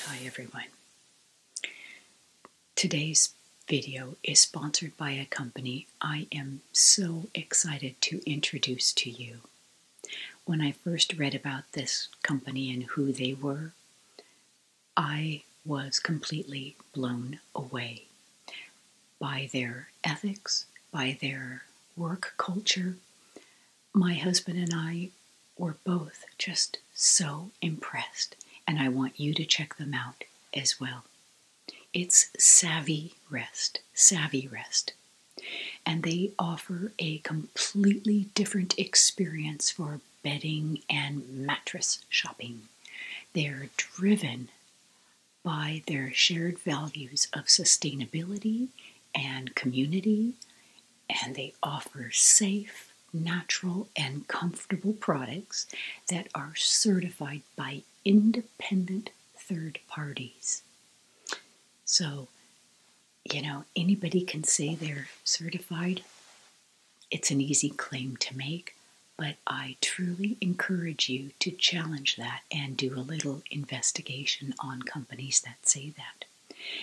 Hi everyone. Today's video is sponsored by a company I am so excited to introduce to you. When I first read about this company and who they were, I was completely blown away by their ethics, by their work culture. My husband and I were both just so impressed, and I want you to check them out as well. It's Savvy Rest, Savvy Rest. And they offer a completely different experience for bedding and mattress shopping. They are driven by their shared values of sustainability and community, and they offer safe, natural, and comfortable products that are certified by independent third parties. So, you know, anybody can say they're certified it's an easy claim to make, but I truly encourage you to challenge that and do a little investigation on companies that say that.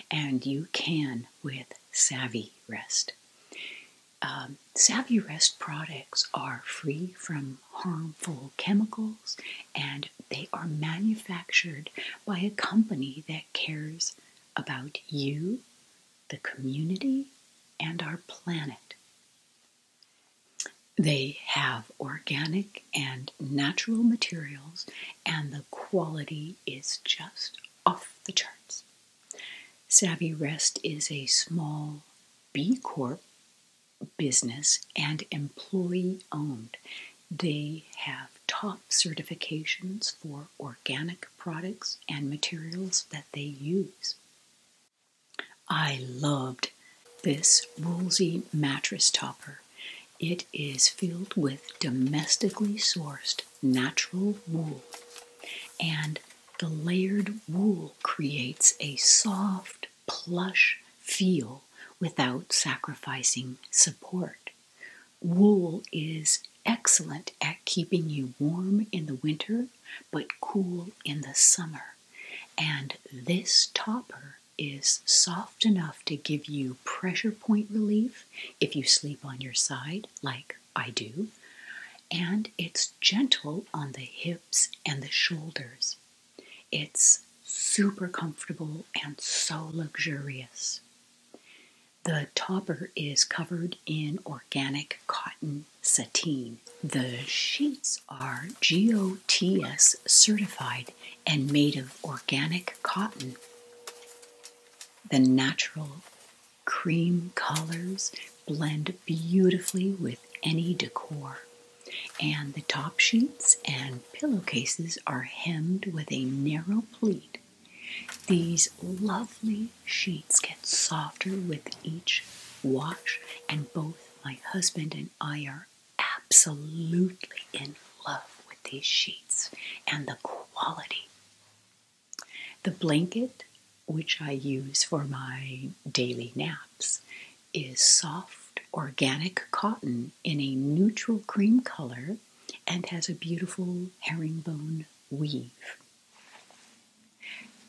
And you can with Savvy Rest. Um, Savvy Rest products are free from harmful chemicals and they are manufactured by a company that cares about you, the community, and our planet. They have organic and natural materials, and the quality is just off the charts. Savvy Rest is a small B Corp business and employee owned. They have top certifications for organic products and materials that they use. I loved this Woolsey mattress topper. It is filled with domestically sourced natural wool, and the layered wool creates a soft, plush feel without sacrificing support. Wool is excellent at keeping you warm in the winter but cool in the summer. And this topper is soft enough to give you pressure point relief if you sleep on your side, like I do, and it's gentle on the hips and the shoulders. It's super comfortable and so luxurious. The topper is covered in organic cotton sateen. The sheets are GOTS certified and made of organic cotton. The natural cream colors blend beautifully with any decor. And the top sheets and pillowcases are hemmed with a narrow pleat. These lovely sheets get softer with each wash, and both my husband and I are absolutely in love with these sheets and the quality. The blanket, which I use for my daily naps, is soft organic cotton in a neutral cream color and has a beautiful herringbone weave.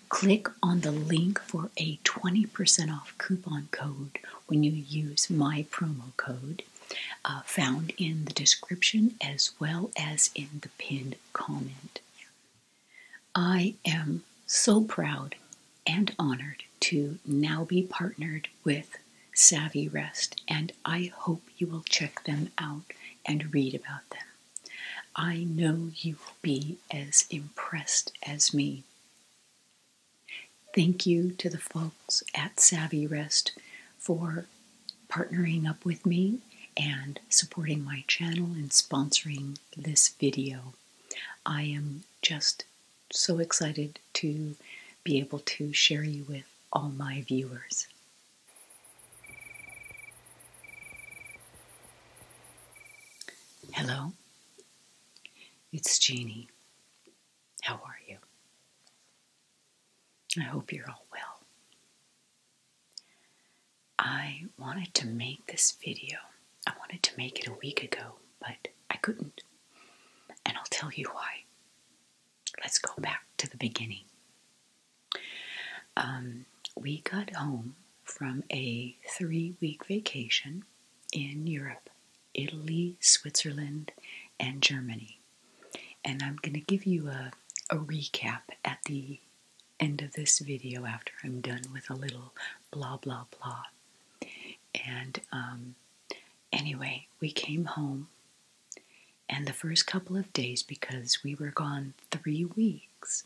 Click on the link for a 20% off coupon code when you use my promo code uh, found in the description as well as in the pinned comment. I am so proud and honored to now be partnered with Savvy Rest, and I hope you will check them out and read about them. I know you will be as impressed as me. Thank you to the folks at Savvy Rest for partnering up with me and supporting my channel and sponsoring this video. I am just so excited to be able to share you with all my viewers. Hello, it's Jeannie. How are you? I hope you're all well. I wanted to make this video. I wanted to make it a week ago, but I couldn't. And I'll tell you why. Let's go back to the beginning. Um, we got home from a three week vacation in Europe, Italy, Switzerland, and Germany. And I'm going to give you a, recap at the end of this video after I'm done with a little blah blah blah. And um, anyway, we came home, and the first couple of days, because we were gone three weeks,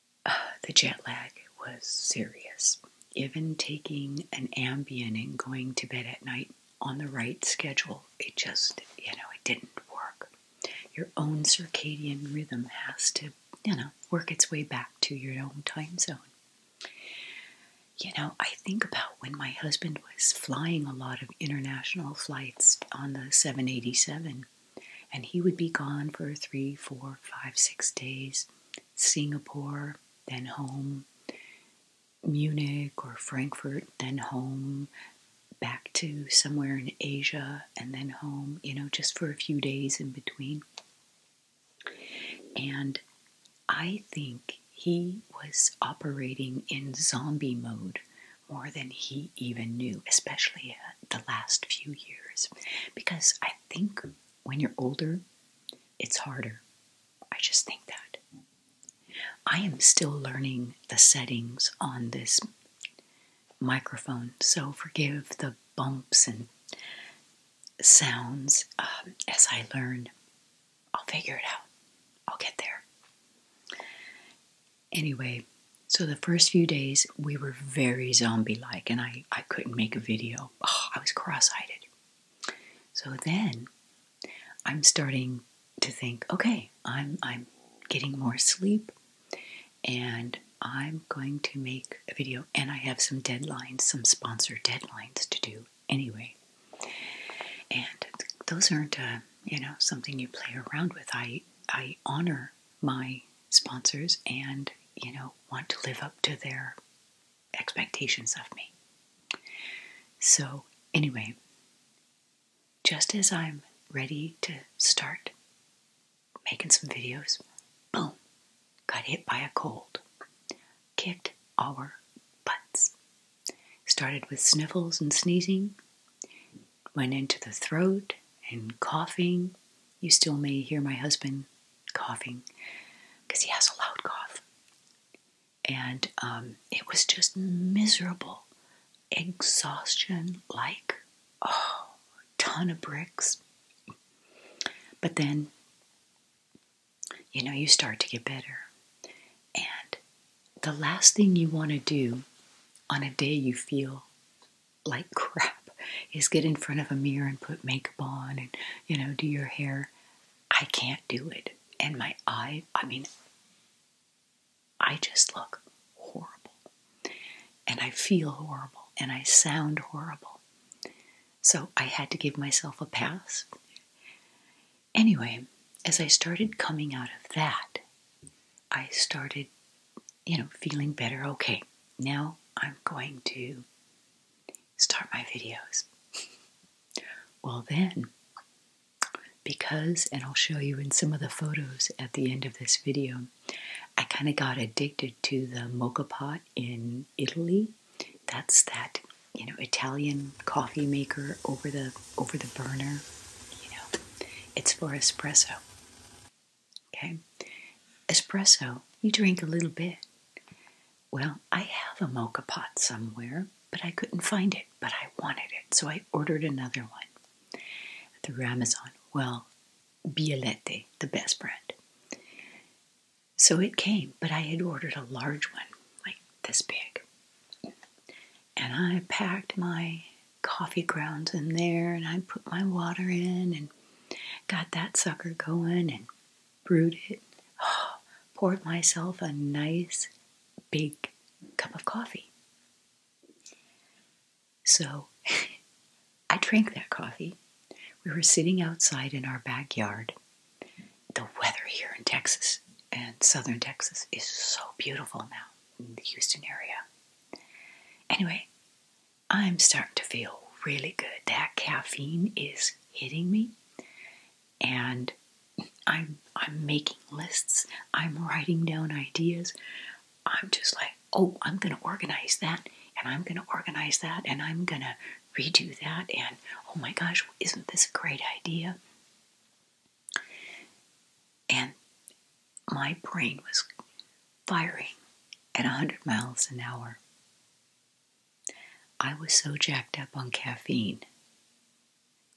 the jet lag was serious. Even taking an Ambien and going to bed at night on the right schedule, it just, you know, it didn't work. Your own circadian rhythm has to, you know, work its way back to your own time zone. You know, I think about when my husband was flying a lot of international flights on the 787 and he would be gone for three, four, five, six days. Singapore, then home. Munich or Frankfurt, then home. Back to somewhere in Asia and then home, you know, just for a few days in between. And I think he was operating in zombie mode more than he even knew, especially the last few years because I think when you're older, it's harder. I just think that. I am still learning the settings on this microphone, so forgive the bumps and sounds um, as I learn. I'll figure it out. I'll get there. Anyway, so the first few days we were very zombie like, and I, I couldn't make a video. Oh, I was cross eyed. So then I'm starting to think okay, I'm, I'm getting more sleep and I'm going to make a video. And I have some deadlines, some sponsor deadlines to do anyway. And those aren't, uh, you know, something you play around with. I, I honor my sponsors and, you know, want to live up to their expectations of me. So, anyway, just as I'm ready to start making some videos, boom, got hit by a cold, kicked our butts. Started with sniffles and sneezing, went into the throat and coughing. You still may hear my husband coughing because he has a loud cough. And um, it was just miserable. Exhaustion like, oh, ton of bricks. But then, you know, you start to get better. And the last thing you want to do on a day you feel like crap is get in front of a mirror and put makeup on and, you know, do your hair. I can't do it. And my eye, I mean, I just look horrible. And I feel horrible. And I sound horrible. So I had to give myself a pass. Anyway, as I started coming out of that, I started you know, feeling better. Okay, now I'm going to start my videos. well, then, because, and I'll show you in some of the photos at the end of this video, I kind of got addicted to the mocha pot in Italy. That's that, you know, Italian coffee maker over the over the burner. You know, it's for espresso. Okay. Espresso, you drink a little bit. Well, I have a mocha pot somewhere, but I couldn't find it, but I wanted it, so I ordered another one through Amazon. Well, Bialete, the best brand. So it came, but I had ordered a large one, like this big. And I packed my coffee grounds in there, and I put my water in and got that sucker going and brewed it. Oh, poured myself a nice big cup of coffee. So I drank that coffee. We were sitting outside in our backyard. The weather here in Texas and southern Texas is so beautiful now in the Houston area. Anyway, I'm starting to feel really good. That caffeine is hitting me, and I'm I'm making lists. I'm writing down ideas. I'm just like, oh, I'm gonna organize that, and I'm gonna organize that, and I'm gonna redo that, and oh my gosh, isn't this a great idea? and my brain was firing at 100 miles an hour. I was so jacked up on caffeine.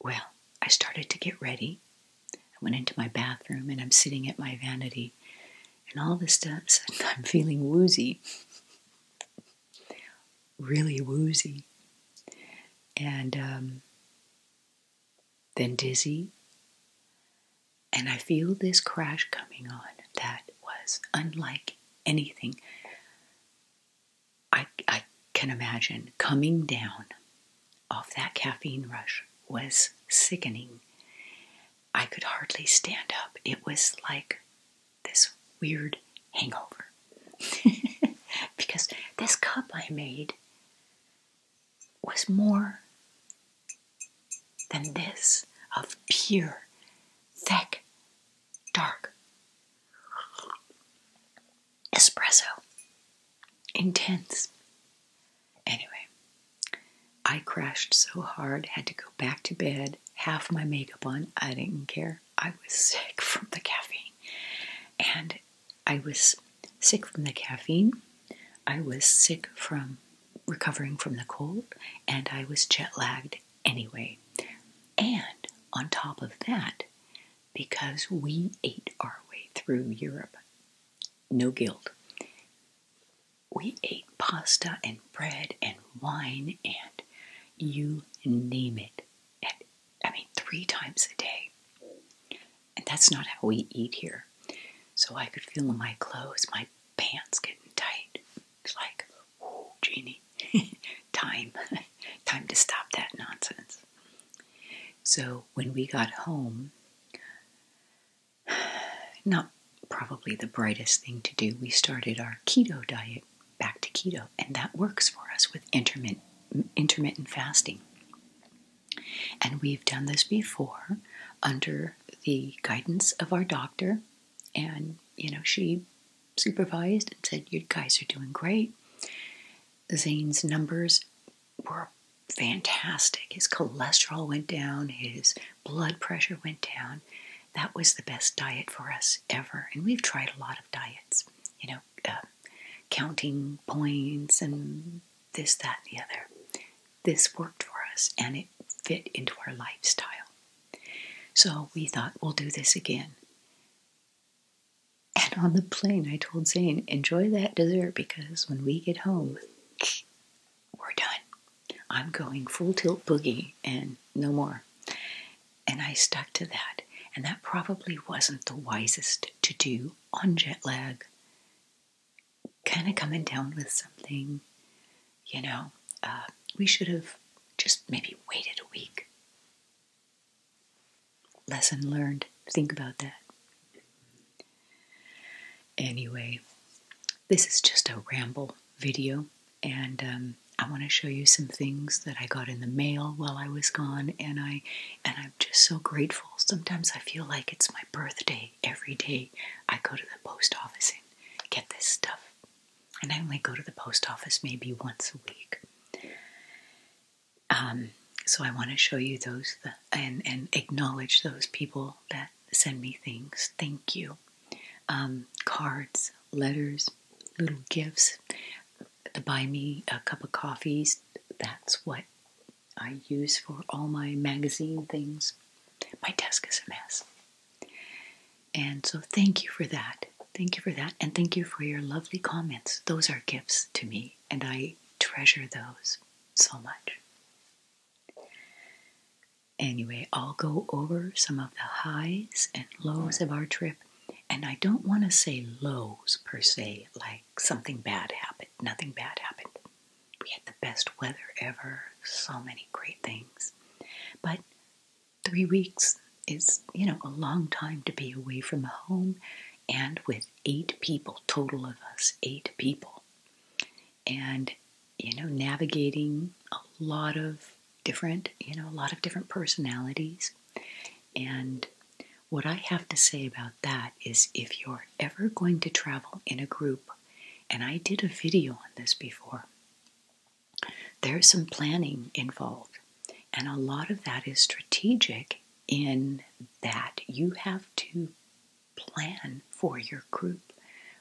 Well, I started to get ready. I went into my bathroom and I'm sitting at my vanity, and all of a sudden I'm feeling woozy. really woozy. And um, then dizzy, and I feel this crash coming on that was unlike anything I, can imagine. Coming down off that caffeine rush was sickening. I could hardly stand up. It was like this weird hangover. because this cup I made was more than this of pure, thick, dark espresso. Intense. Anyway, I crashed so hard, had to go back to bed, half my makeup on. I didn't care. I was sick from the caffeine. And I was sick from the caffeine. I was sick from recovering from the cold and I was jet lagged anyway. And on top of that, because we ate our way through Europe, no guilt. We ate pasta and bread and wine and you name it. I mean, three times a day. And that's not how we eat here. So I could feel my clothes, my pants getting tight. It's like, oh, Jeannie, time, time to stop that nonsense. So when we got home, not probably the brightest thing to do, we started our keto diet back to keto, and that works for us with intermittent intermittent fasting. And we've done this before under the guidance of our doctor. And, you know, she supervised and said, You guys are doing great. Zane's numbers were fantastic. His cholesterol went down, his blood pressure went down. That was the best diet for us ever. And we've tried a lot of diets, you know, uh, counting points and this, that, and the other this worked for us and it fit into our lifestyle. So we thought, we'll do this again. And on the plane, I told Zane, enjoy that dessert because when we get home, we're done. I'm going full tilt boogie and no more. And I stuck to that. And that probably wasn't the wisest to do on jet lag kind of coming down with something, you know, uh, we should have just maybe waited a week. Lesson learned. Think about that. Anyway, this is just a ramble video, and um, I want to show you some things that I got in the mail while I was gone, and I and I'm just so grateful. Sometimes I feel like it's my birthday every day, I go to the post office and get this stuff. And I only go to the post office maybe once a week. Um, so I want to show you those and, and acknowledge those people that send me things. Thank you. Um, cards, letters, little gifts, to buy me a cup of coffees. That's what I use for all my magazine things. My desk is a mess. And so thank you for that. Thank you for that. And thank you for your lovely comments. Those are gifts to me, and I treasure those so much. Anyway, I'll go over some of the highs and lows of our trip. And I don't want to say lows per se, like something bad happened, nothing bad happened. We had the best weather ever, so many great things. But three weeks is, you know, a long time to be away from home and with eight people, total of us, eight people. And, you know, navigating a lot of different, you know, a lot of different personalities. And what I have to say about that is if you're ever going to travel in a group and I did a video on this before. There's some planning involved, and a lot of that is strategic in that you have to plan for your group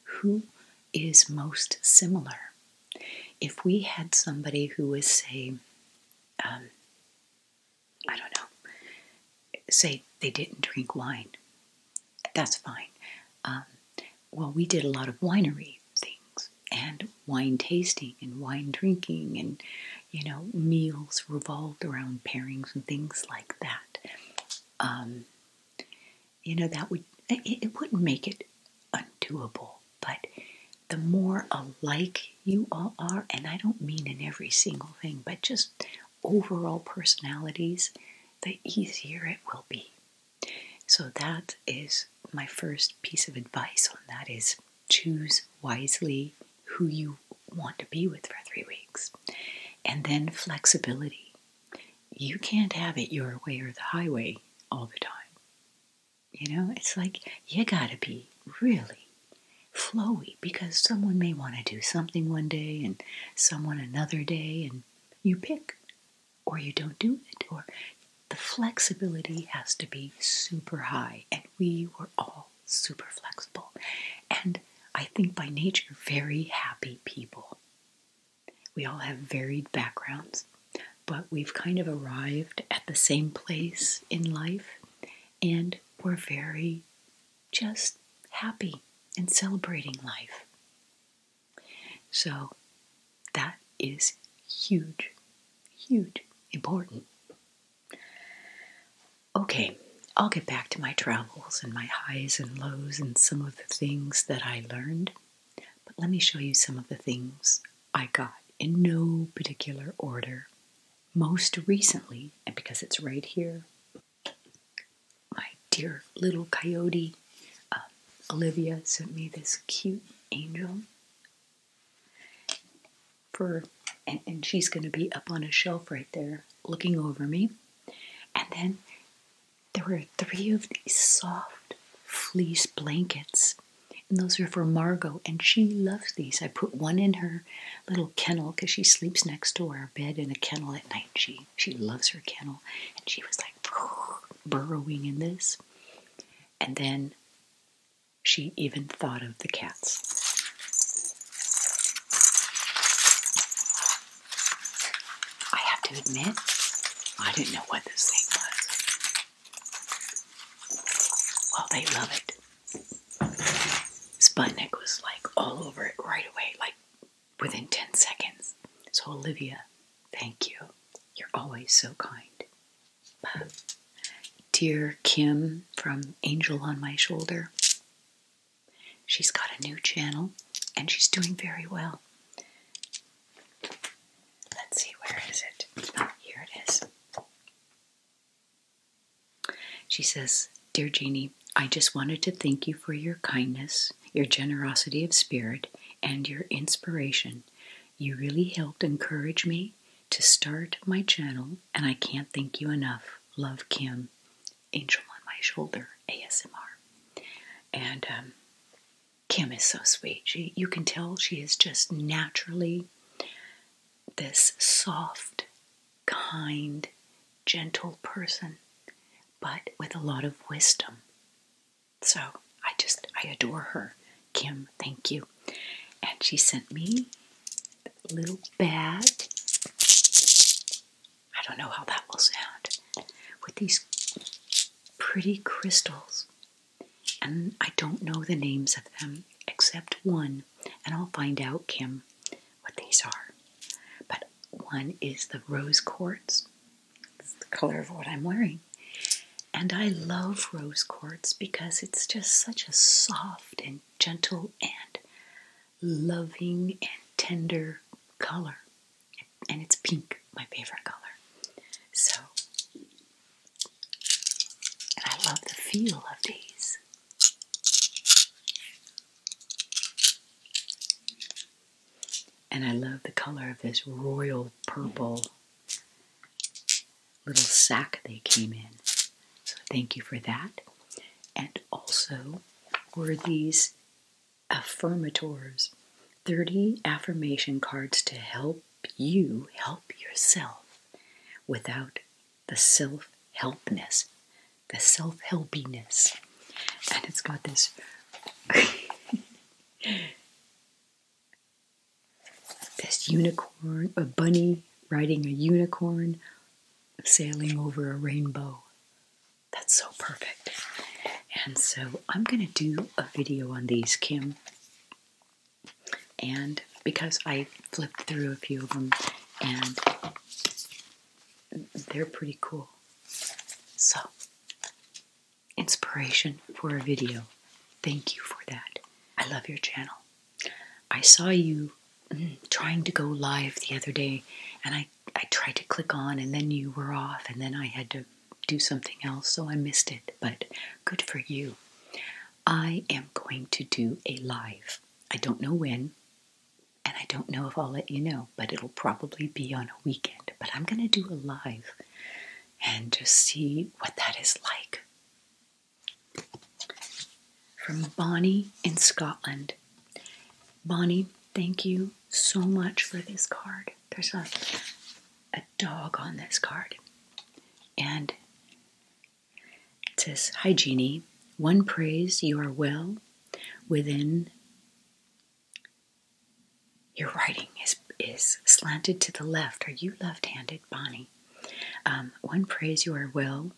who is most similar. If we had somebody who was, say, um, I don't know, say they didn't drink wine, that's fine. Um, well, we did a lot of winery things and wine tasting and wine drinking, and you know, meals revolved around pairings and things like that. Um, you know, that would it wouldn't make it undoable, but the more alike you all are, and I don't mean in every single thing, but just overall personalities, the easier it will be. So that is my first piece of advice on that is choose wisely who you want to be with for 3 weeks. And then flexibility. You can't have it your way or the highway all the time. You know, it's like you got to be really flowy because someone may want to do something one day and someone another day, and you pick, or you don't do it, or the flexibility has to be super high, and we were all super flexible. And I think by nature, very happy people. We all have varied backgrounds, but we've kind of arrived at the same place in life, and we're very just happy and celebrating life. So that is huge, huge, important. Okay, I'll get back to my travels and my highs and lows and some of the things that I learned, but let me show you some of the things I got in no particular order most recently, and because it's right here my dear little coyote, uh, Olivia, sent me this cute angel for, and she's going to be up on a shelf right there, looking over me. And then there were three of these soft fleece blankets. And those are for Margot, and she loves these. I put one in her little kennel because she sleeps next to our bed in a kennel at night. She she loves her kennel. And she was like burrowing in this. And then she even thought of the cats. I have to admit, I didn't know what this thing was. Well, they love it. Sputnik was like all over it right away, like within 10 seconds. So, Olivia, thank you. You're always so kind. But dear Kim from Angel on My Shoulder, she's got a new channel and she's doing very well. Let's see, where is it? Oh, here it is. She says, Dear Jeannie, I just wanted to thank you for your kindness, your generosity of spirit, and your inspiration. You really helped encourage me to start my channel, and I can't thank you enough. Love Kim, Angel on My Shoulder, ASMR. And um, Kim is so sweet. She, you can tell she is just naturally this soft, kind, gentle person, but with a lot of wisdom. So I just, I adore her. Kim, thank you. And she sent me little bag. I don't know how that will sound. With these pretty crystals. And I don't know the names of them except one. And I'll find out, Kim what these are. But one is the rose quartz. It's the color of what I'm wearing. And I love rose quartz because it's just such a soft and gentle and loving and tender color. And it's pink, my favorite color. So, and I love the feel of these. And I love the color of this royal purple little sack they came in. So thank you for that. And also were these affirmators 30 affirmation cards to help you help yourself without the self helpness the self helpiness. And it's got this. this unicorn, a bunny riding a unicorn, sailing over a rainbow. That's so perfect. And so I'm going to do a video on these, Kim. And because I flipped through a few of them and they're pretty cool. So, inspiration for a video. Thank you for that. I love your channel. I saw you mm, trying to go live the other day, and I, I tried to click on, and then you were off, and then I had to do something else, so I missed it. But good for you. I am going to do a live. I don't know when, and I don't know if I'll let you know, but it'll probably be on a weekend. But I'm going to do a live and just see what that is like. From Bonnie in Scotland. Bonnie, thank you so much for this card. There's a, a dog on this card. And it says, Hi, Jeannie. One prays you are well within your writing is, is slanted to the left. Are you left handed, Bonnie? Um, one prays you are well.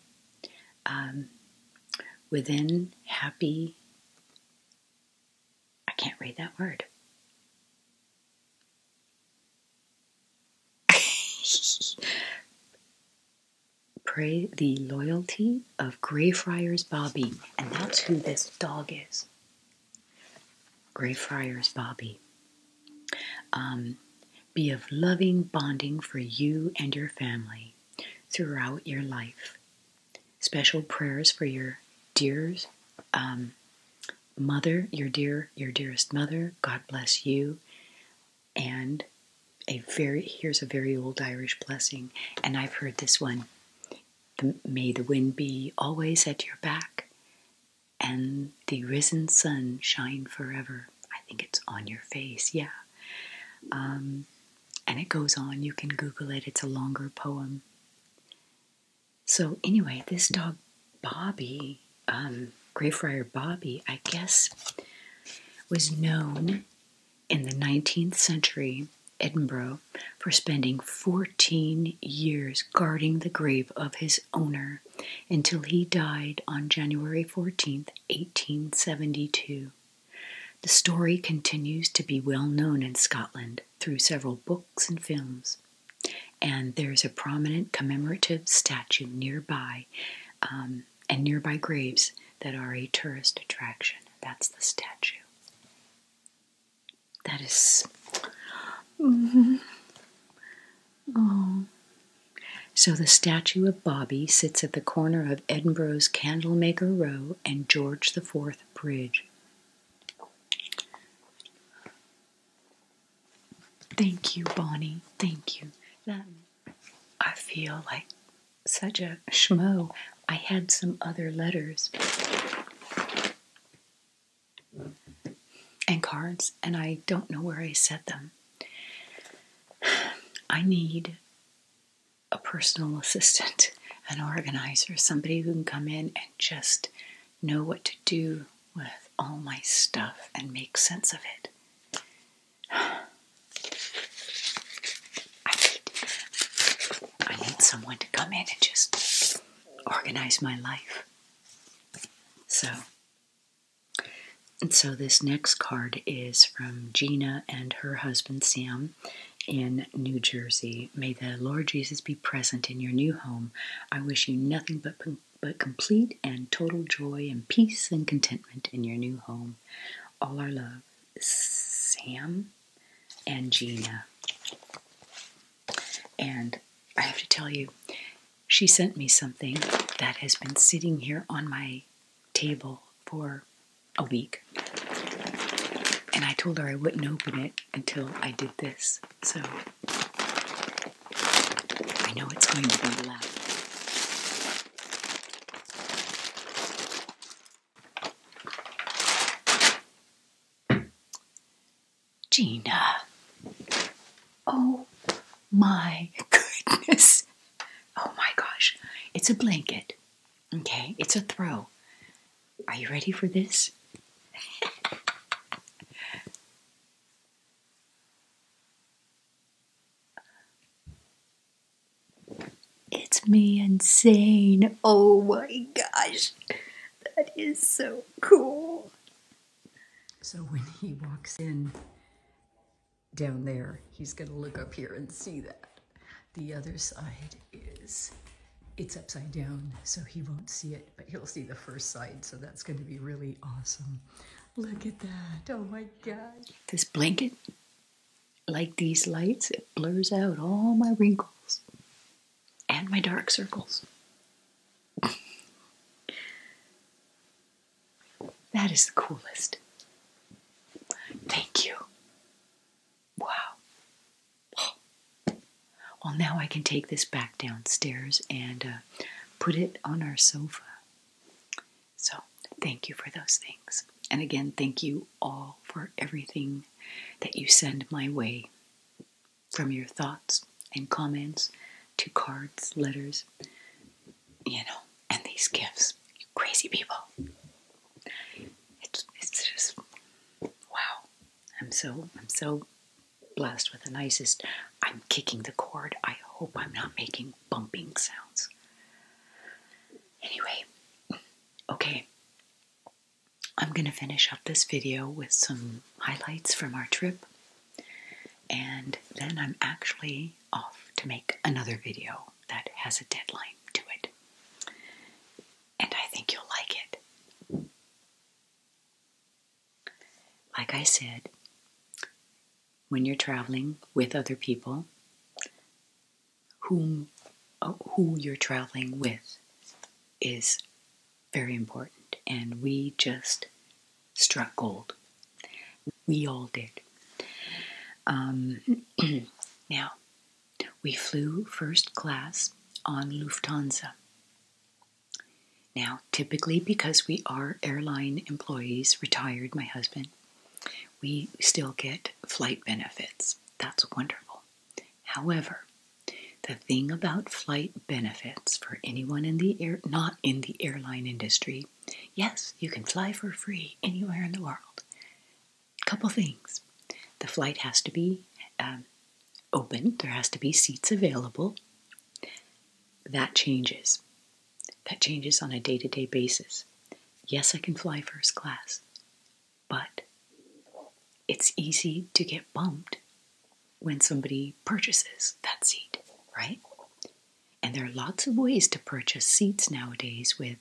Um, within happy. I can't read that word. Pray the loyalty of Greyfriars Bobby, and that's who this dog is. Greyfriars Bobby. Um, be of loving bonding for you and your family throughout your life. Special prayers for your dears, um, mother, your dear, your dearest mother. God bless you and a very here's a very old Irish blessing, and I've heard this one. may the wind be always at your back, and the risen sun shine forever. I think it's on your face, yeah. Um, and it goes on. You can Google it. It's a longer poem. So anyway, this dog Bobby, um, Greyfriar Bobby, I guess, was known in the 19th century Edinburgh for spending 14 years guarding the grave of his owner until he died on January 14, 1872. The story continues to be well known in Scotland through several books and films, and there's a prominent commemorative statue nearby um, and nearby graves that are a tourist attraction. That's the statue. That mm-hmm. Oh. So the statue of Bobby sits at the corner of Edinburgh's Candlemaker Row and George the Fourth Bridge. Thank you, Bonnie. Thank you. I feel like such a schmo. I had some other letters and cards, and I don't know where I set them. I need a personal assistant, an organizer, somebody who can come in and just know what to do with all my stuff and make sense of it. I need, I need someone to come in and just organize my life. So, and so this next card is from Gina and her husband Sam in New Jersey. May the Lord Jesus be present in your new home. I wish you nothing but but complete and total joy and peace and contentment in your new home. All our love, Sam and Gina. And I have to tell you, she sent me something that has been sitting here on my table for a week. And I told her I wouldn't open it until I did this. So I know it's going to be loud. Gina. Oh my goodness. Oh my gosh. It's a blanket. Okay, it's a throw. Are you ready for this? It's me and Zane. Oh my gosh, that is so cool. So when he walks in down there, he's going to look up here and see that. The other side is it's upside down, so he won't see it, but he'll see the first side, so that's going to be really awesome. Look at that. Oh my gosh, This blanket like these lights, it blurs out all my wrinkles and my dark circles. that is the coolest. Thank you. Wow. Well, now I can take this back downstairs and uh, put it on our sofa. So, thank you for those things. And again, thank you all for everything that you send my way. From your thoughts and comments to cards, letters, you know, and these gifts. crazy people. It's, it's just, wow. I'm so, I'm so blessed with the nicest. I'm kicking the cord. I hope I'm not making bumping sounds. Anyway, Okay, I'm going to finish up this video with some highlights from our trip, and then I'm actually off to make another video that has a deadline to it. And I think you'll like it. Like I said, when you're traveling with other people, whom uh, who you're traveling with is very important and we just struck gold we all did um, now we flew first class on lufthansa now typically because we are airline employees retired my husband we still get flight benefits. That's wonderful. However, the thing about flight benefits for anyone in the air, not in the airline industry, yes, you can fly for free anywhere in the world. Couple things: the flight has to be um, open. There has to be seats available. That changes. That changes on a day-to-day basis. Yes, I can fly first class but it's easy to get bumped when somebody purchases that seat, right? And there are lots of ways to purchase seats nowadays with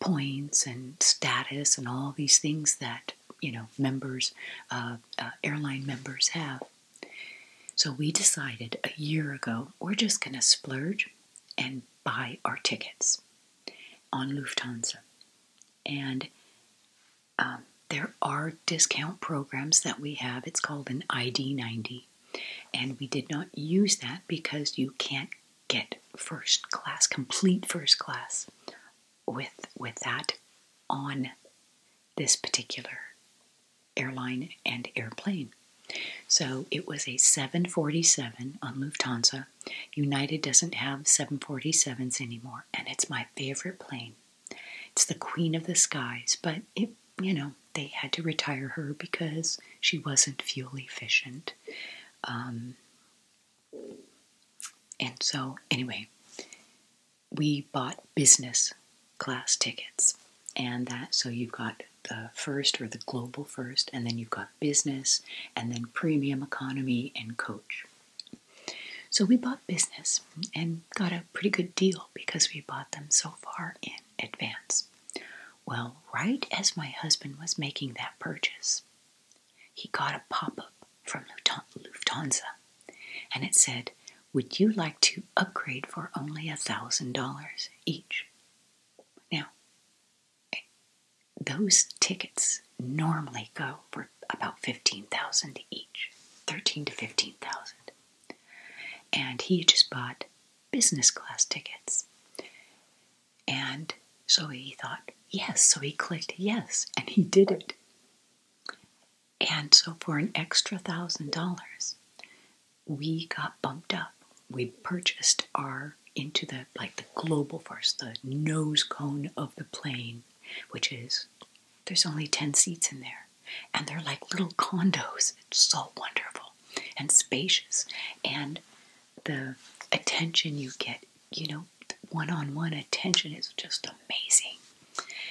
points and status and all these things that you know members, uh, uh, airline members have. So we decided a year ago we're just going to splurge and buy our tickets on Lufthansa. And um, there are discount programs that we have. It's called an ID90. And we did not use that because you can't get first class, complete first class with, with that on this particular airline and airplane. So it was a 747 on Lufthansa United doesn't have 747s anymore, and it's my favorite plane. It's the queen of the skies, but it, you know, they had to retire her because she wasn't fuel efficient. Um, and so, anyway, we bought business class tickets, and that so you've got the first or the global first, and then you've got business, and then premium economy and coach. So we bought business and got a pretty good deal because we bought them so far in advance. Well, right as my husband was making that purchase, he got a pop up from Lufthansa and it said, Would you like to upgrade for only a $1,000 each? Now, those tickets normally go for about 15,000 each, 13 to 15,000. And he just bought business class tickets. And so he thought, yes, so he clicked yes, and he did it. And so for an extra thousand dollars, we got bumped up. We purchased our into the like the global forest, the nose cone of the plane, which is there's only 10 seats in there. And they're like little condos. It's so wonderful and spacious. And the attention you get, you know, one on one attention is just amazing.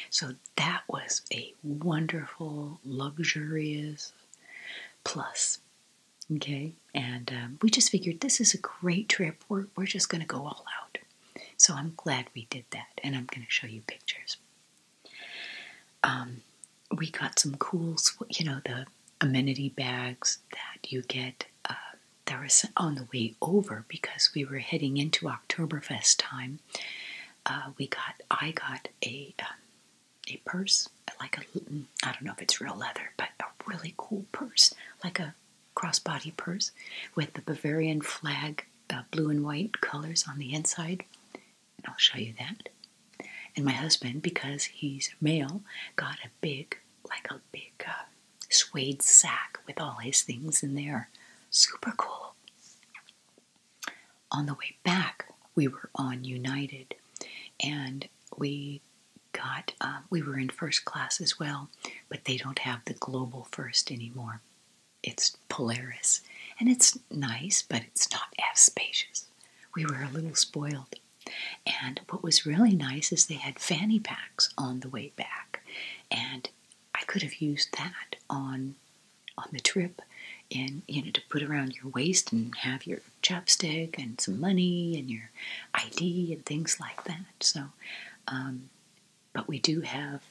So that was a wonderful, luxurious, plus Okay, and um, we just figured this is a great trip. We're, we're just going to go all out. So I'm glad we did that, and I'm going to show you pictures. Um, we got some cool, you know, the amenity bags that you get. Uh, there was on the way over because we were heading into Oktoberfest time. Uh, we got, I got a um, a purse purse, like a, I don't know if it's real leather, but a really cool purse, like a crossbody purse with the Bavarian flag, blue and white colors on the inside. And I'll show you that. And my husband, because he's male, got a big, like a big uh, suede sack with all his things in there. Super cool. On the way back, we were on United and we got, um, we were in first class as well, but they don't have the global first anymore. It's Polaris. And it's nice, but it's not as spacious. We were a little spoiled. And what was really nice is they had fanny packs on the way back. And I could have used that on on the trip and you know to put around your waist and have your your chapstick and some money and your ID and things like that. So, um, but we do have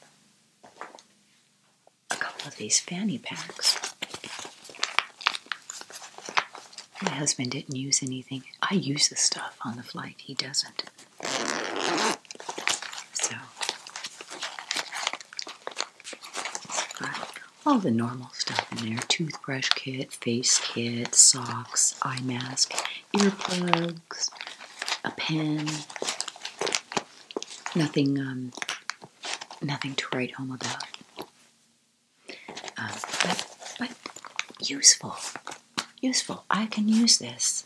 a couple of these fanny packs. My husband didn't use anything. I use the stuff on the flight, he doesn't. So, all the normal stuff in there toothbrush kit, face kit, socks, eye mask, earplugs, a pen. Nothing, um, nothing to write home about. Um, but, useful, useful. I can use this.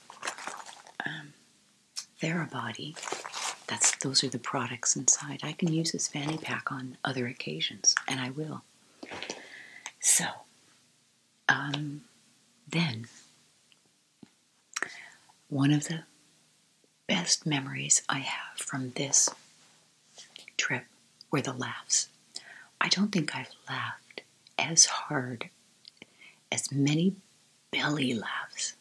Um, Therabody. That's those are the products inside. I can use this fanny pack on other occasions, and I will. So, um, then, one of the best memories I have from this trip were the laughs. I don't think I've laughed as hard as many belly laughs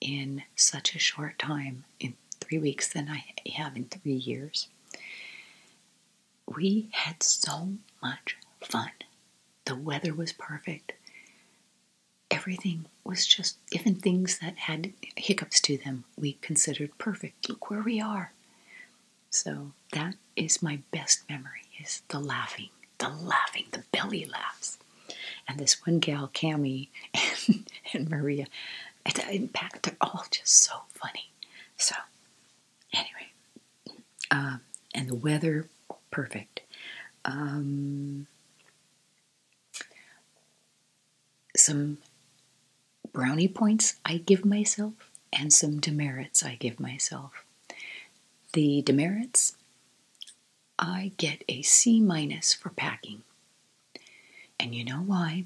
in such a short time in three weeks than I have in three years we had so much fun. The weather was perfect. Everything was just, even things that had hiccups to them, we considered perfect. Look where we are. So that is my best memory is the laughing, the laughing, the belly laughs. And this one gal, Cami and, Maria, and the impact, they're all just so funny. So, anyway, um, and the weather, perfect. Um, some brownie points I give myself, and some demerits I give myself. The demerits, I get a C minus for packing. And you know why?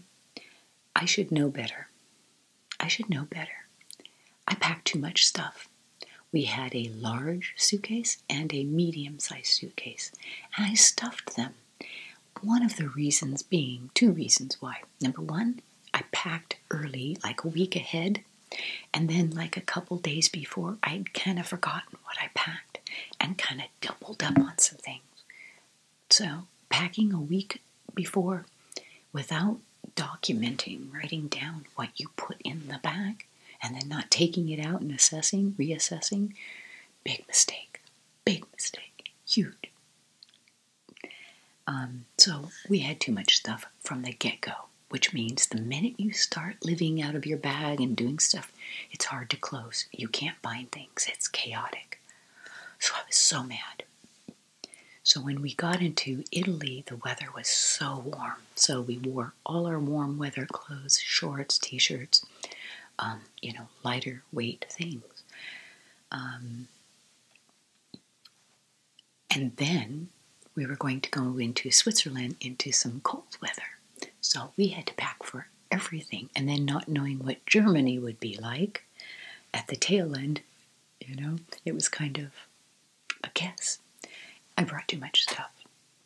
I should know better. I should know better. I packed too much stuff. We had a large suitcase and a medium sized suitcase, and I stuffed them. One of the reasons being two reasons why. Number one, I packed early, like a week ahead, and then, like a couple days before, I'd kind of forgotten what I packed and kind of doubled up on some things. So, packing a week before without documenting, writing down what you put in the bag, and then not taking it out and assessing, reassessing, big mistake. Big mistake. Huge. Um, so, we had too much stuff from the get go, which means the minute you start living out of your bag and doing stuff, it's hard to close. You can't find things, it's chaotic. So, I was so mad. So when we got into Italy, the weather was so warm. So we wore all our warm weather clothes, shorts, t-shirts, um, you know, lighter weight things. Um, and then we were going to go into Switzerland into some cold weather. So we had to pack for everything. And then not knowing what Germany would be like, at the tail end, you know, it was kind of a guess. I brought too much stuff.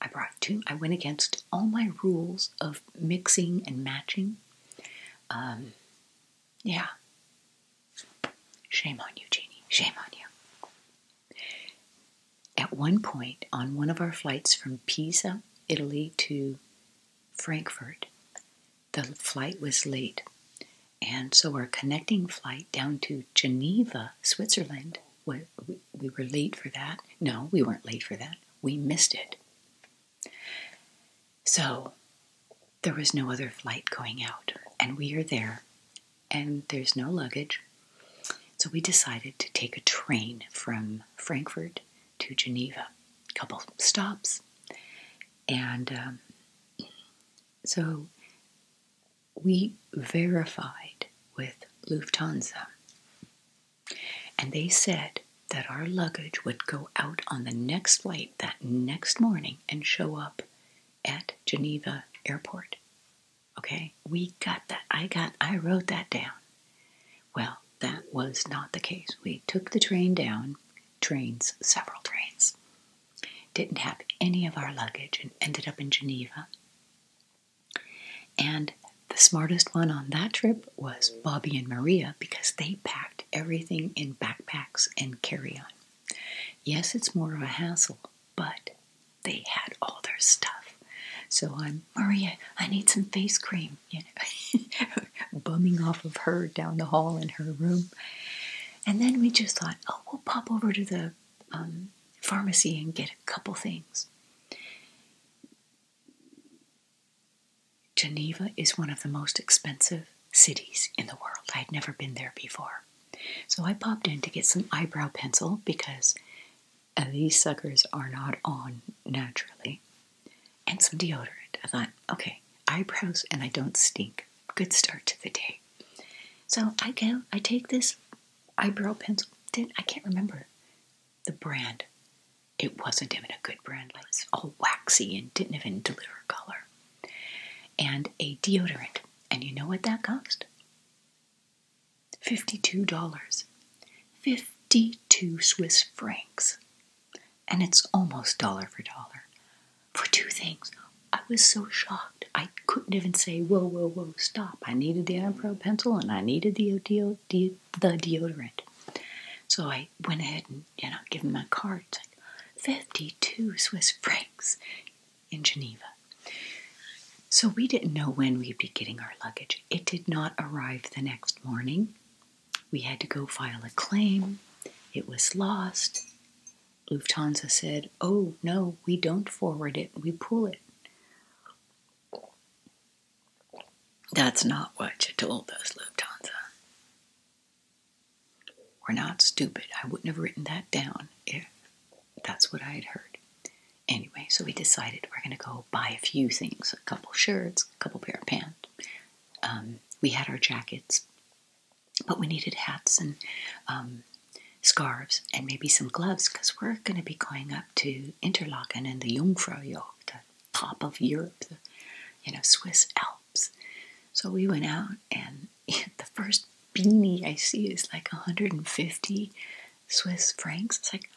I brought too, I went against all my rules of mixing and matching. Um, yeah. Shame on you, Jeannie. Shame on you. At one point on one of our flights from Pisa, Italy to Frankfurt, the flight was late. And so our connecting flight down to Geneva, Switzerland, we, we were late for that. No, we weren't late for that. We missed it. So there was no other flight going out. And we are there, and there's no luggage. So we decided to take a train from Frankfurt to Geneva, couple stops. And um, so we verified with Lufthansa, and they said that our luggage would go out on the next flight that next morning and show up at Geneva Airport. Okay, we got that. I got, I wrote that down. Well, that was not the case. We took the train down trains, several trains. Didn't have any of our luggage and ended up in Geneva. And the smartest one on that trip was Bobby and Maria because they packed everything in backpacks and carry on. Yes, it's more of a hassle, but they had all their stuff. So I'm, Maria, I need some face cream. bumming off of her down the hall in her room. And then we just thought, oh, we'll pop over to the um, pharmacy and get a couple things. Geneva is one of the most expensive cities in the world. I had never been there before. So I popped in to get some eyebrow pencil because these suckers are not on naturally and some deodorant. I thought, okay, eyebrows and I don't stink. Good start to the day. So I go, I take this eyebrow pencil. Did I can't remember the brand. It wasn't even a good brand. It was all waxy and didn't even deliver color. And a deodorant. And you know what that cost? $52. 52 Swiss francs and it's almost dollar for dollar for two things. I was so shocked. I couldn't even say, whoa, whoa, whoa, stop. I needed the Enpro pencil and I needed the, deo- deodorant. So I went ahead and, you know, gave him my card. It's like 52 Swiss francs in Geneva. So we didn't know when we'd be getting our luggage. It did not arrive the next morning. We had to go file a claim. It was lost. Lufthansa said, Oh, no, we don't forward it, we pull it. That's not what you told us, Lufthansa. We're not stupid. I wouldn't have written that down if that's what I had heard. Anyway, so we decided we're going to go buy a few things a couple shirts, a couple pair of pants, um, we had our jackets, but we needed hats and um, scarves and maybe some gloves because we're going to be going up to Interlaken and the Jungfraujoch, the top of Europe, the you know Swiss Alps. So we went out, and the first beanie I see is like 150 Swiss francs. It's like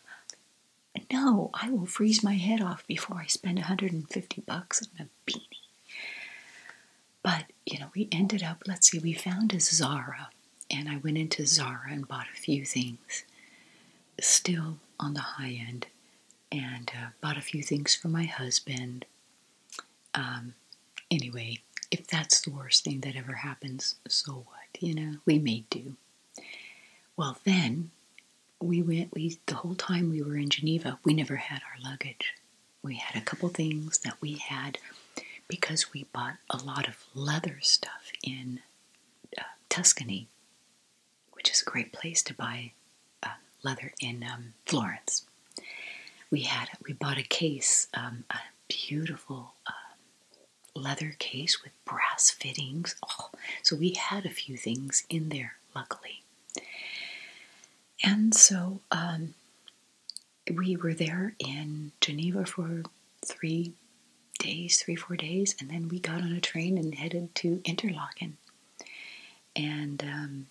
no, I will freeze my head off before I spend 150 bucks on beanie. But, you know, we ended up, let's see, we found a Zara, and I went into Zara and bought a few things, still on the high end, and uh, bought a few things for my husband. Um, anyway, if that's the worst thing that ever happens, so what? You know, we may do. Well, then we went we the whole time we were in Geneva, we never had our luggage. We had a couple things that we had because we bought a lot of leather stuff in uh, Tuscany, which is a great place to buy uh, leather in um, Florence. We had we bought a case, um, a beautiful uh, leather case with brass fittings. Oh, so we had a few things in there, luckily. And so um, we were there in Geneva for three days, three, four days, and then we got on a train and headed to Interlaken. And um,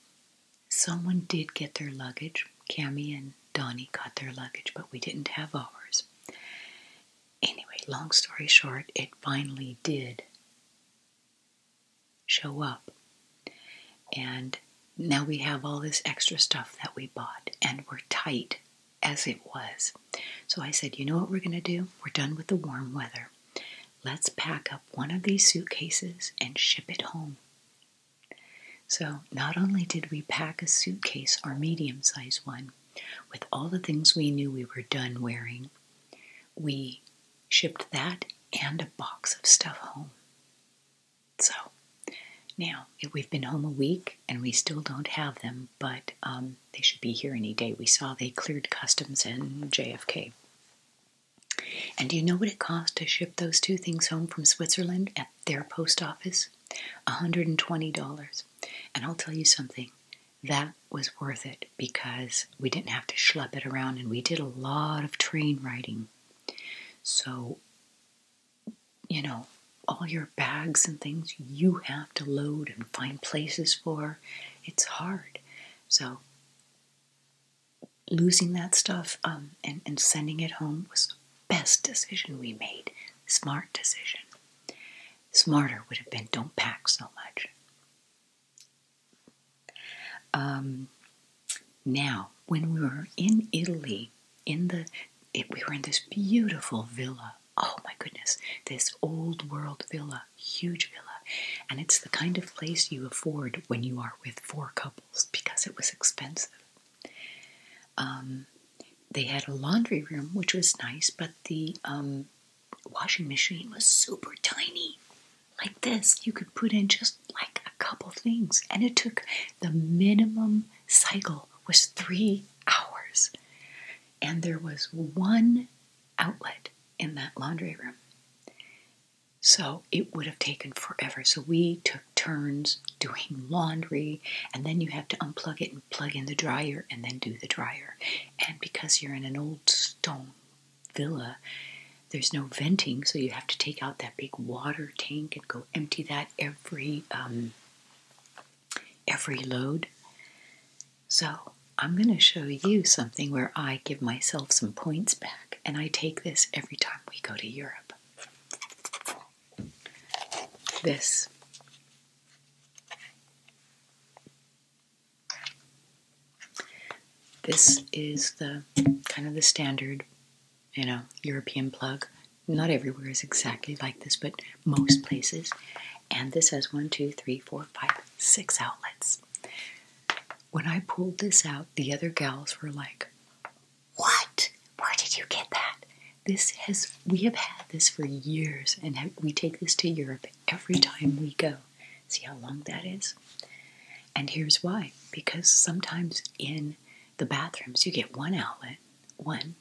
someone did get their luggage. Cami and Donnie got their luggage, but we didn't have ours. Anyway, long story short, it finally did show up. And now we have all this extra stuff that we bought, and we're tight as it was. So I said, you know what we're going to do? We're done with the warm weather. Let's pack up one of these suitcases and ship it home. So not only did we pack a suitcase, our medium sized one, with all the things we knew we were done wearing, we shipped that and a box of stuff home. So now we've been home a week and we still don't have them, but um, they should be here any day. We saw they cleared customs in JFK. And do you know what it cost to ship those two things home from Switzerland at their post office? $120. And I'll tell you something, that was worth it because we didn't have to schlepp it around and we did a lot of train riding. So, you know, all your bags and things you have to load and find places for, it's hard. So, losing that stuff um, and, and sending it home was the best decision we made. Smart decision. Smarter would have been don't pack so much. Um, now, when we were in Italy, in the we were in this beautiful villa. Oh my goodness, this old world villa, huge villa. And it's the kind of place you afford when you are with four couples because it was expensive. Um, they had a laundry room, which was nice, but the um, washing machine was super tiny like this, you could put in just like a couple things. And it took the minimum cycle was three hours. And there was one outlet in that laundry room. So it would have taken forever. So we took turns doing laundry, and then you have to unplug it and plug in the dryer and then do the dryer. And because you're in an old stone villa, there's no venting, so you have to take out that big water tank and go empty that every um, every load. So I'm going to show you something where I give myself some points back, and I take this every time we go to Europe. This this is the kind of the standard, you know, European plug. Not everywhere is exactly like this, but most places. And this has one, two, three, four, five, six outlets. When I pulled this out, the other gals were like, What? Where did you get that? This has, we have had this for years, and we take this to Europe every time we go. See how long that is? And here's why because sometimes in the bathrooms you get one outlet, one,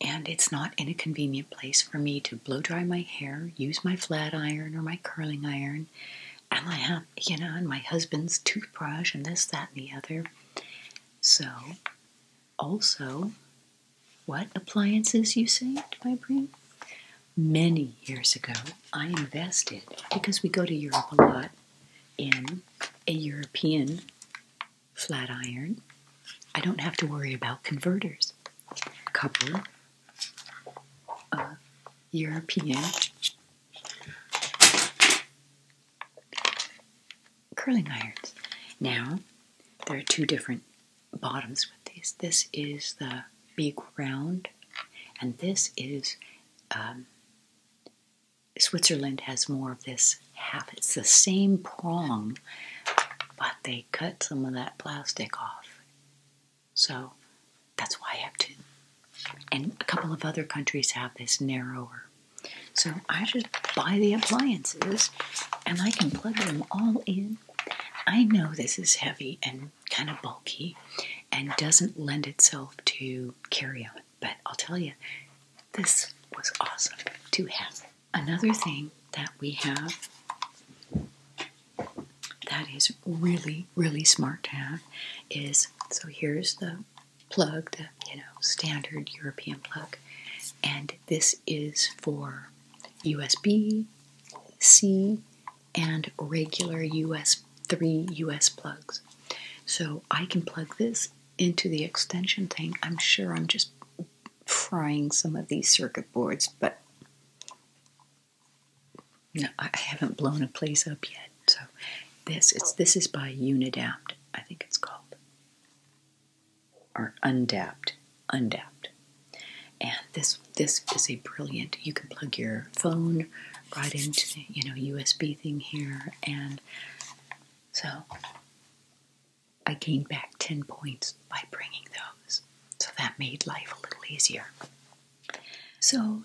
and it's not in a convenient place for me to blow dry my hair, use my flat iron or my curling iron, and my have you know, and my husband's toothbrush and this, that, and the other. So, also, what appliances you say, my brain? Many years ago, I invested because we go to Europe a lot in a European flat iron. I don't have to worry about converters. A couple of European curling irons. Now, there are two different bottoms with these. This is the be ground, and this is um, Switzerland has more of this half. It's the same prong, but they cut some of that plastic off. So that's why I have two. And a couple of other countries have this narrower. So I just buy the appliances and I can plug them all in. I know this is heavy and kind of bulky and doesn't lend itself to carry on. But I'll tell you, this was awesome to have. Another thing that we have that is really, really smart to have is so here's the plug, the you know standard European plug, and this is for USB C and regular US 3 US plugs. So I can plug this into the extension thing. I'm sure I'm just frying some of these circuit boards, but no, I haven't blown a place up yet. So this it's this is by Unidapt, I think it's called. Or Undapt. Undapt. And this this is a brilliant. You can plug your phone right into the you know USB thing here, and so I gained back ten points by bringing those. So that made life a little easier. So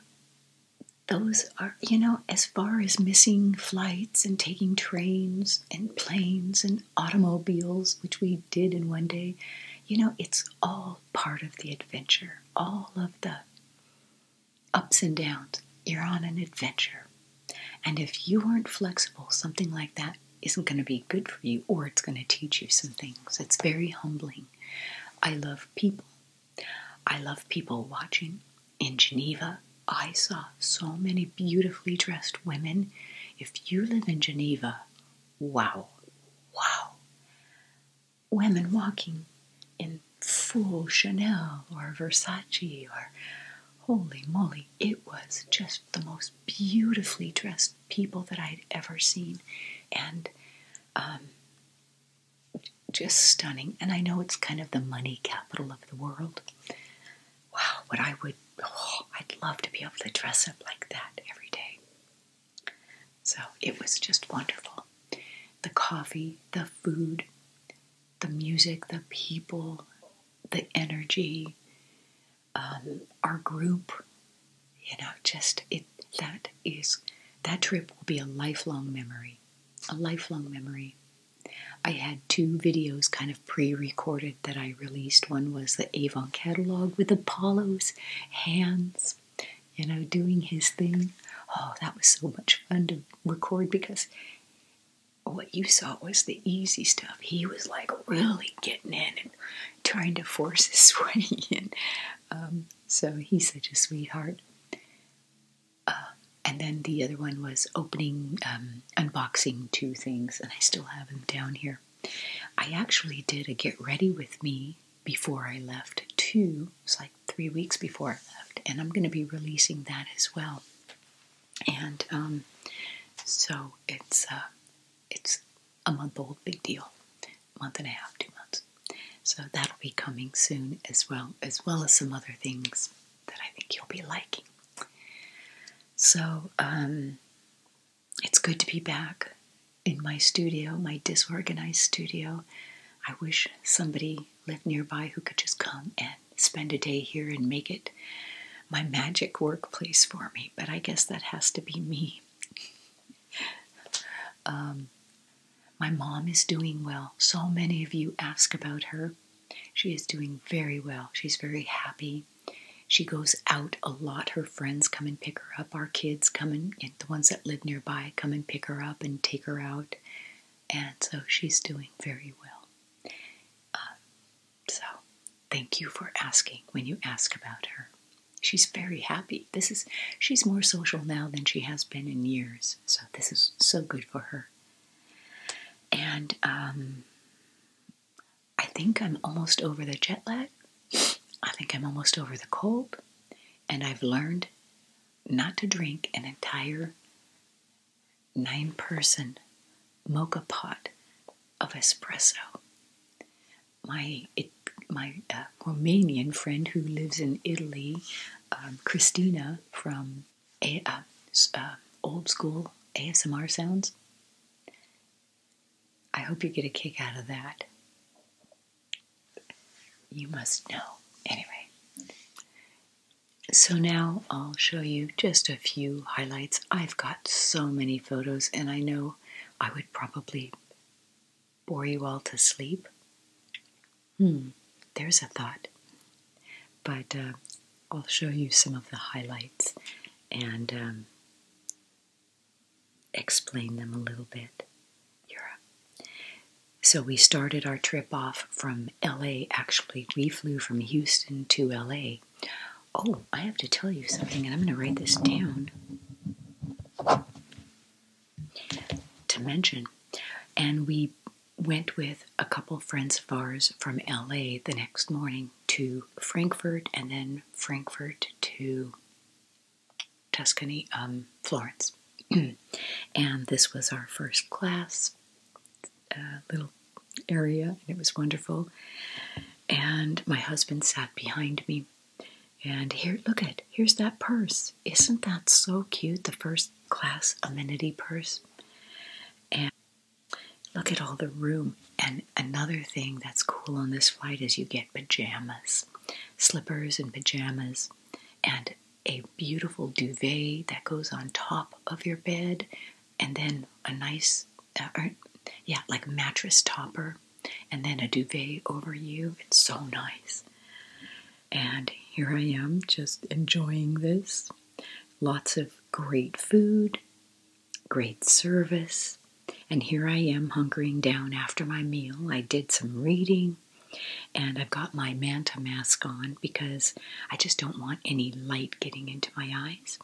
those are you know as far as missing flights and taking trains and planes and automobiles, which we did in one day. You know, it's all part of the adventure all of the ups and downs. You're on an adventure. And if you aren't flexible, something like that isn't going to be good for you or it's going to teach you some things. It's very humbling. I love people. I love people watching. In Geneva, I saw so many beautifully dressed women. If you live in Geneva, wow, wow women walking in full Chanel or Versace or holy moly, it was just the most beautifully dressed people that I'd ever seen. And um, just stunning. And I know it's kind of the money capital of the world. Wow, what I would, oh, I'd love to be able to dress up like that every day. So it was just wonderful. The coffee, the food, the music, the people, the energy, um, our group, you know, just it that is that trip will be a lifelong memory. A lifelong memory. I had two videos kind of pre recorded that I released. One was the Avon catalog with Apollo's hands you know, doing his thing. Oh, that was so much fun to record because what you saw was the easy stuff. He was like really getting in and trying to force his way in. Um, so he's such a sweetheart. Uh, and then the other one was opening, um, unboxing two things, and I still have them down here. I actually did a get ready with me before I left, two, it's like three weeks before I left, and I'm going to be releasing that as well. And um, so it's uh, it's a month old, big deal, month and a half, two months. So that'll be coming soon as well, as well as some other things that I think you'll be liking. So um, it's good to be back in my studio, my disorganized studio. I wish somebody lived nearby who could just come and spend a day here and make it my magic workplace for me, but I guess that has to be me. Um, my mom is doing well. So many of you ask about her. She is doing very well. She's very happy. She goes out a lot. Her friends come and pick her up. Our kids come and, the ones that live nearby come and pick her up and take her out. And so she's doing very well. Uh, so thank you for asking when you ask about her. She's very happy. This is she's more social now than she has been in years. So this is so good for her. And um, I think I'm almost over the jet lag. I think I'm almost over the cold. And I've learned not to drink an entire nine person mocha pot of espresso. My, my uh, Romanian friend who lives in Italy, um, Christina from uh, uh, Old School ASMR Sounds, I hope you get a kick out of that you must know. Anyway, so now I'll show you just a few highlights. I've got so many photos, and I know I would probably bore you all to sleep. Hmm, there's a thought. But uh, I'll show you some of the highlights and um, explain them a little bit. Europe. So we started our trip off from LA. Actually, we flew from Houston to LA. Oh, I have to tell you something, and I'm going to write this down to mention. And we went with a couple friends of ours from LA the next morning to Frankfurt and then Frankfurt to Tuscany, um, Florence. and this was our first class uh, little area, and it was wonderful. And my husband sat behind me. And here, look at, here's that purse. Isn't that so cute? The first class amenity purse. And look at all the room. And another thing that's cool on this flight is you get pajamas, slippers and pajamas and a beautiful duvet that goes on top of your bed, and then a nice, uh, er, yeah, like mattress topper, and then a duvet over you. It's so nice. And here I am just enjoying this. Lots of great food, great service. And here I am hunkering down after my meal. I did some reading and I've got my Manta mask on because I just don't want any light getting into my eyes.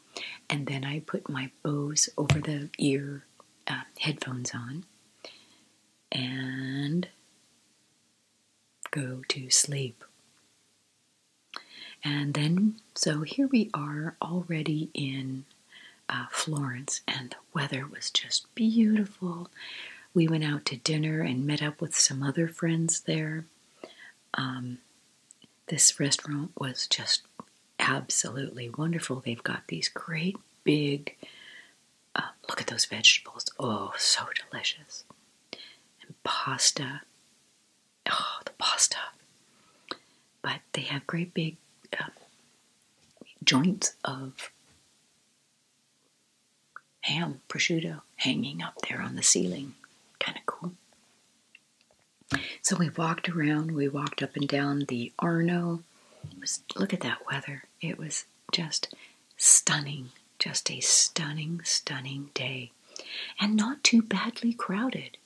And then I put my Bose over the ear uh, headphones on and go to sleep. And then, so here we are already in uh, Florence, and Weather was just beautiful. We went out to dinner and met up with some other friends there. Um, this restaurant was just absolutely wonderful. They've got these great big, uh, look at those vegetables. Oh, so delicious. And pasta. Oh, the pasta. But they have great big um, joints of ham, prosciutto hanging up there on the ceiling. Kind of cool. So we walked around, we walked up and down the Arno. Was, look at that weather. It was just stunning, just a stunning, stunning day. And not too badly crowded.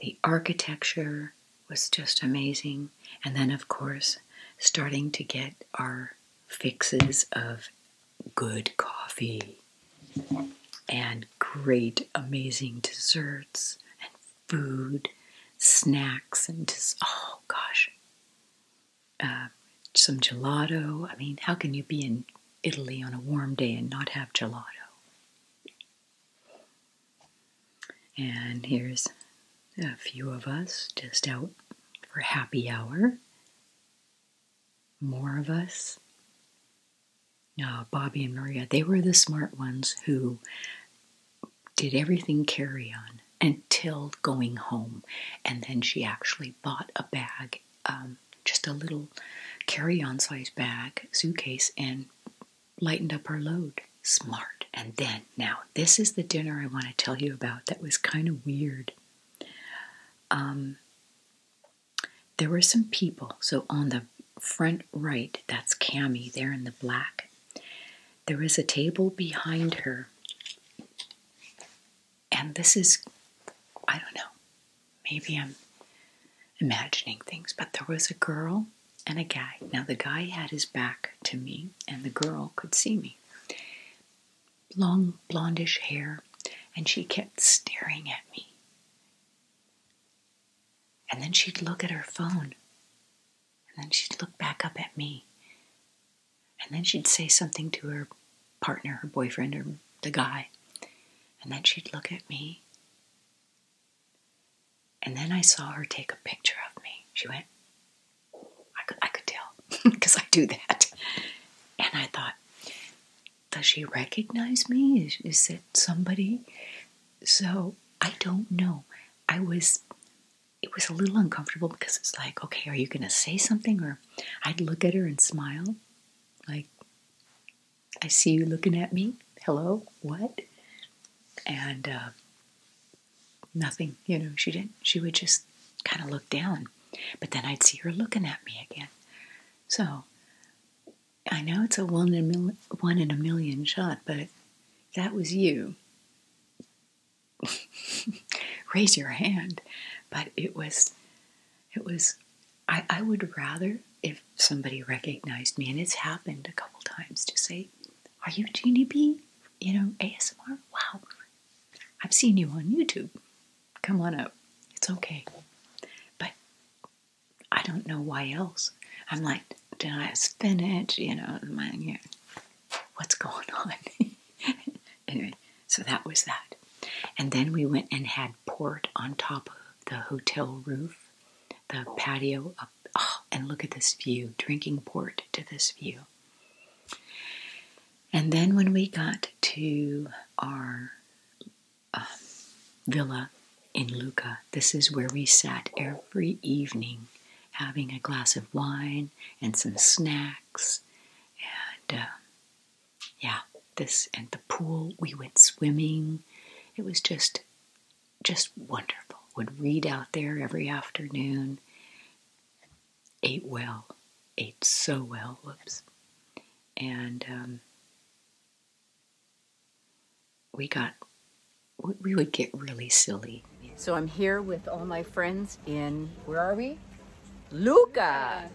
The architecture was just amazing. And then, of course, starting to get our fixes of good coffee and great, amazing desserts and food, snacks, and just, oh gosh, uh, some gelato. I mean, how can you be in Italy on a warm day and not have gelato? And here's a few of us just out for happy hour. More of us. Uh, Bobby and Maria, they were the smart ones who did everything carry on until going home. And then she actually bought a bag, um, just a little carry on size bag, suitcase, and lightened up our load. Smart. And then, now, this is the dinner I want to tell you about that was kind of weird. Um, there were some people, so on the front right, that's Cami there in the black. There is a table behind her. And this is, I don't know, maybe I'm imagining things. But there was a girl and a guy. Now, the guy had his back to me, and the girl could see me. Long blondish hair, and she kept staring at me. And then she'd look at her phone, and then she'd look back up at me. And then she'd say something to her partner, her boyfriend, or the guy. And then she'd look at me. And then I saw her take a picture of me. She went, I could, I could tell because I do that. And I thought, does she recognize me? Is, is it somebody? So I don't know. I was, it was a little uncomfortable because it's like, okay, are you going to say something? Or I'd look at her and smile, like, I see you looking at me. Hello, what? and uh, nothing. You know, she didn't. She would just kind of look down, but then I'd see her looking at me again. So I know it's a one in a one in a million shot, but that was you. Raise your hand, but it was, it was. I, I would rather if somebody recognized me, and it's happened a couple times to say, Are you Jeannie B? You know, ASMR? Wow, I've seen you on YouTube. Come on up. It's okay. But I don't know why else. I'm like, Did I have spinach? You know, man, you know, what's going on? anyway, so that was that. And then we went and had port on top of the hotel roof the patio Oh, and look at this view, drinking port to this view. And then when we got to our um, villa in Lucca, this is where we sat every evening having a glass of wine and some snacks. And uh, yeah, this and the pool, we went swimming. It was just just wonderful. Would read out there every afternoon. Ate well, ate so well, whoops. And um, we got, we would get really silly. So I'm here with all my friends in, where are we? Luca!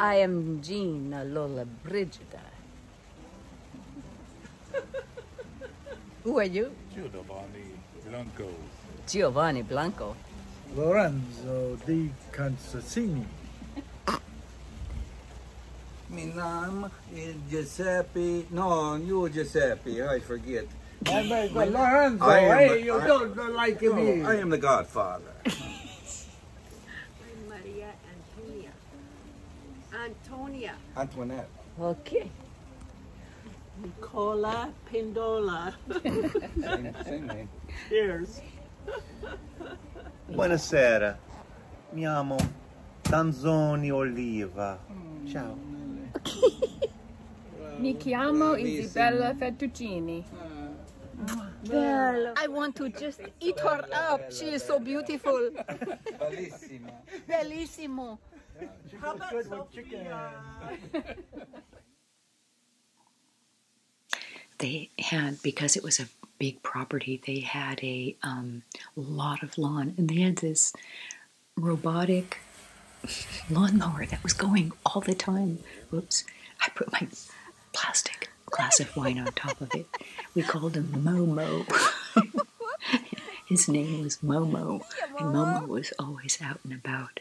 I am Jean, Lola Brigida. Who are you? Giovanni Blanco. Giovanni Blanco. Lorenzo di Constantini. My name is Giuseppe. No, you Giuseppe. I forget. I eh, mean, Lorenzo, I eh, hey, you don't like no, me. I am the godfather. Antonia. Antoinette. Okay. Nicola Pindola. Cheers. Buonasera. Mi amo Tanzoni Oliva. Mm. Ciao. Mi chiamo Isabella Fettuccini. Well, I want to just eat her up. She is so beautiful. Bellissima. Bellissimo. they had because it was a big property. They had a um, lot of lawn, and they had this robotic lawnmower that was going all the time. Oops! I put my plastic glass of wine on top of it. We called him Momo. His name was Momo, and Momo was always out and about.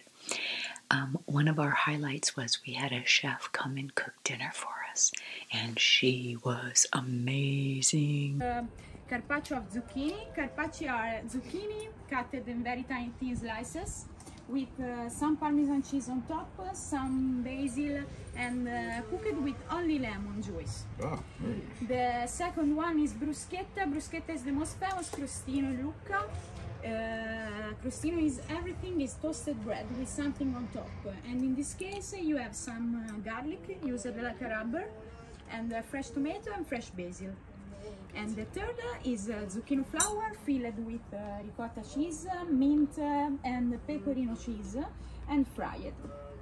Um, one of our highlights was we had a chef come and cook dinner for us, and she was amazing. Uh, carpaccio of zucchini, carpaccio are zucchini cut in very tiny thin slices with uh, some parmesan cheese on top, some basil, and uh, cooked with only lemon juice. The second one is bruschetta. Bruschetta is the most famous crostino in Lucca. Uh, crostino is everything is toasted bread with something on top. And in this case, you have some uh, garlic, used like a rubber, and fresh tomato and fresh basil. And the third is zucchini zucchino flour filled with uh, ricotta cheese, mint, uh, and pecorino cheese, and fried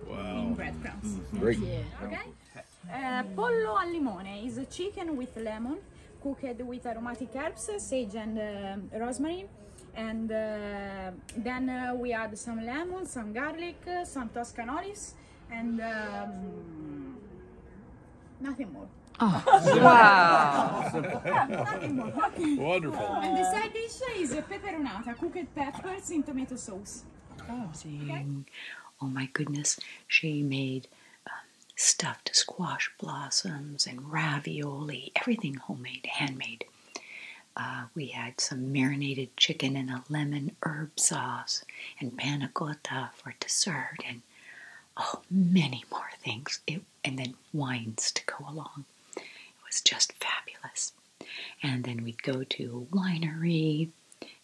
wow. in breadcrumbs. Mm-hmm. Great. Yeah. Okay. Uh, pollo al limone is a chicken with lemon cooked with aromatic herbs, sage and uh, rosemary. And uh, then we add some lemon, some garlic, some Toscan olives, and um, nothing more. Oh, wow! Wonderful. And the side dish is pepperonata, cooked peppers in tomato sauce amazing. Oh my goodness, she made um, stuffed squash blossoms and ravioli, everything homemade, handmade. Uh, we had some marinated chicken and a lemon herb sauce and panna cotta for dessert and oh, many more things. It, and then wines to go along. It was just fabulous. And then we'd go to a winery,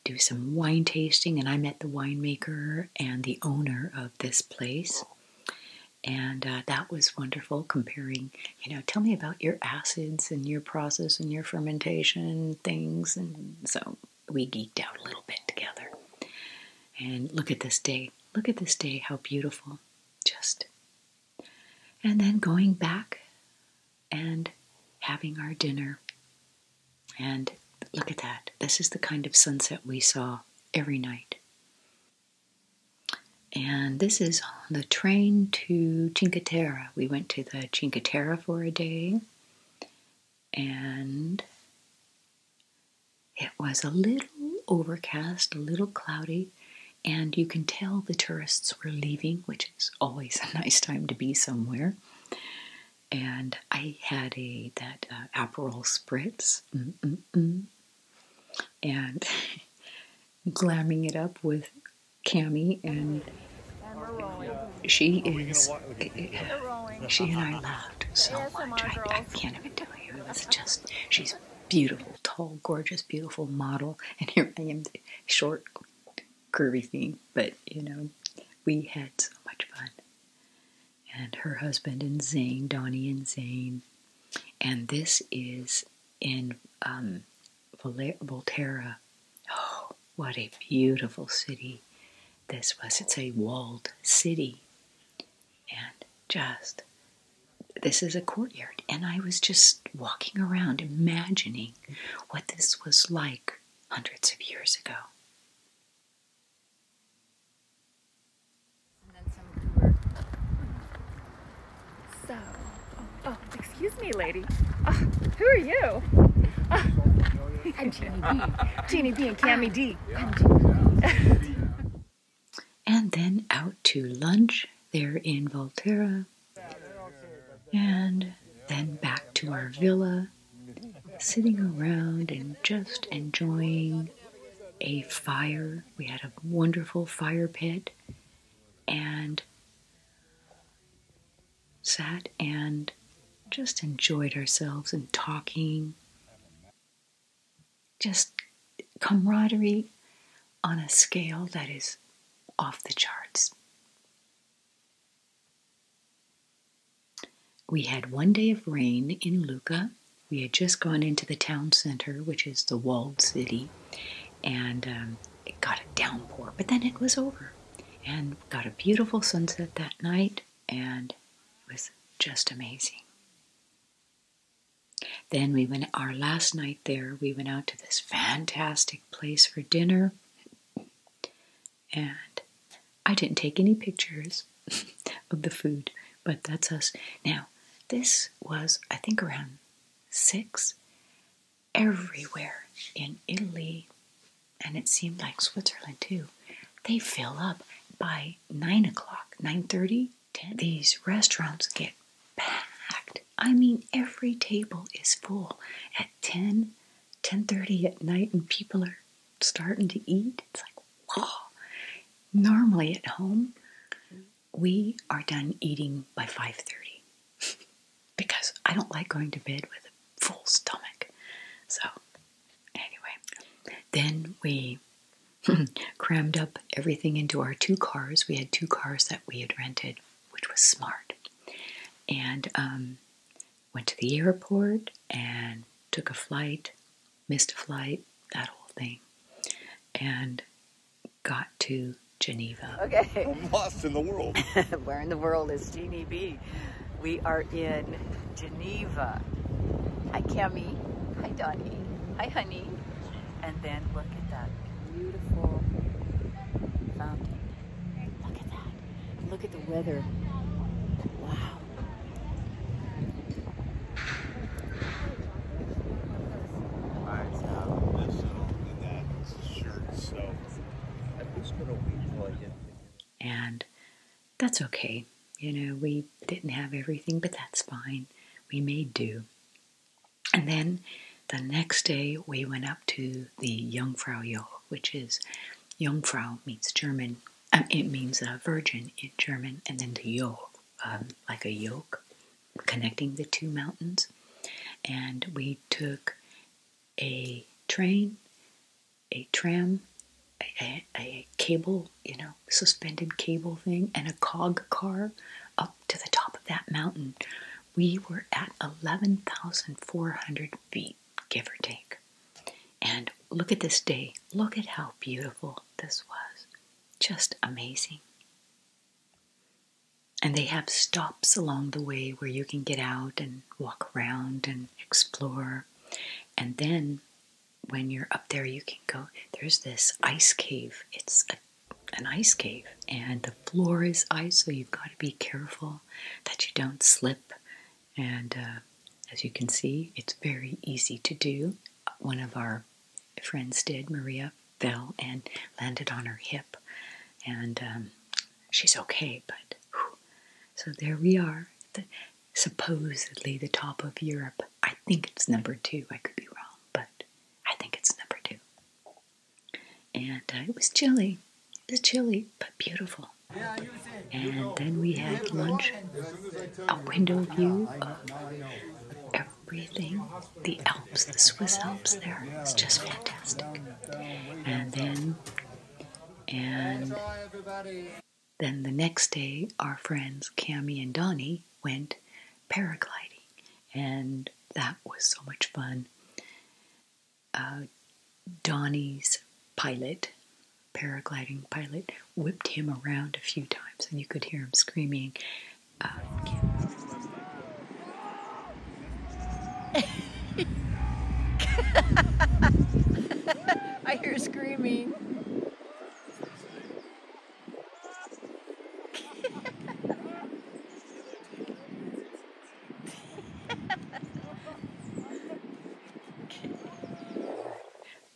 do some wine tasting, and I met the winemaker and the owner of this place. And uh, that was wonderful comparing, you know, tell me about your acids and your process and your fermentation things. And so we geeked out a little bit together. And look at this day. Look at this day, how beautiful. Just. And then going back and having our dinner. And look at that. This is the kind of sunset we saw every night. And this is on the train to Cinque We went to the Cinque for a day, and it was a little overcast, a little cloudy, and you can tell the tourists were leaving, which it's always a nice time to be somewhere. And I had a that uh, Aperol spritz, and glamming it up with Cami, and she is. Eh, eh, she and I laughed so much. I can't even tell you. It was just she's beautiful, tall, gorgeous, beautiful model, and here I am, short, curvy thing, but you know, we had so much fun. And her husband and Zane, Donnie and Zane. And this is in um, Volterra. Oh, what a beautiful city this was. It's a walled city. And just, this is a courtyard. And I was just walking around imagining what this was like hundreds of years ago. So, oh, oh, excuse me, lady. Ah, who are you? Ah. I'm Jeannie B. Jeannie B and Cammy D. and then out to lunch there in Volterra and then back to our villa, sitting around and just enjoying a fire. We had a wonderful fire pit and sat and just enjoyed ourselves and talking. Just camaraderie on a scale that is off the charts. We had one day of rain in Lucca. We had just gone into the town center, which is the walled city, and um, it got a downpour, but then it was over. And got a beautiful sunset that night, and it was just amazing. Then we went our last night there, we went out to this fantastic place for dinner. And I didn't take any pictures of the food, but that's us. Now, this was, I think, around six everywhere in Italy, and it seemed like Switzerland too. They fill up by nine o'clock, nine thirty, ten. These restaurants get packed, I mean, every table is full at 10, 10.30 at night and people are starting to eat. It's like, wow. Normally at home, we are done eating by 5.30 because I don't like going to bed with a full stomach. So anyway, then we crammed up everything into our two cars. We had two cars that we had rented which was smart. And um, went to the airport and took a flight, missed a flight, that whole thing, and got to Geneva. Okay. I'm lost in the world. Where in the world is Teeny We are in Geneva. Hi, Cami. Hi, Dottie. Hi, honey. And then look at that beautiful fountain. Look at that. Look at the weather. Wow. And that's okay. You know, we didn't have everything, but that's fine. We made do. And then the next day, we went up to the Jungfrau Joch, which is Jungfrau means German. Uh, it means uh, virgin in German, and then the Joch, um, like a yoke, connecting the two mountains. And we took a train, a tram, a, cable, you know, suspended cable thing, and a cog car up to the top of that mountain we were at 11,400 feet, give or take. And look at this day. Look at how beautiful this was. Just amazing. And they have stops along the way where you can get out and walk around and explore. And then when you're up there, you can go. There's this ice cave. It's an ice cave, and the floor is ice, so you've got to be careful that you don't slip. And uh, as you can see, it's very easy to do. One of our friends did, Maria, fell and landed on her hip. And um, she's okay, but so there we are. The, supposedly the top of Europe. I think it's number two. I could be wrong, but I think it's number two and uh, it was chilly. It was chilly, but beautiful. And then we had lunch, a window view of everything, the Alps, the Swiss Alps there. It's just fantastic. And then, and then the next day, our friends Cami and Donny went paragliding, and that was so much fun uh, Donnie's pilot, paragliding pilot, whipped him around a few times, and you could hear him screaming. I hear screaming.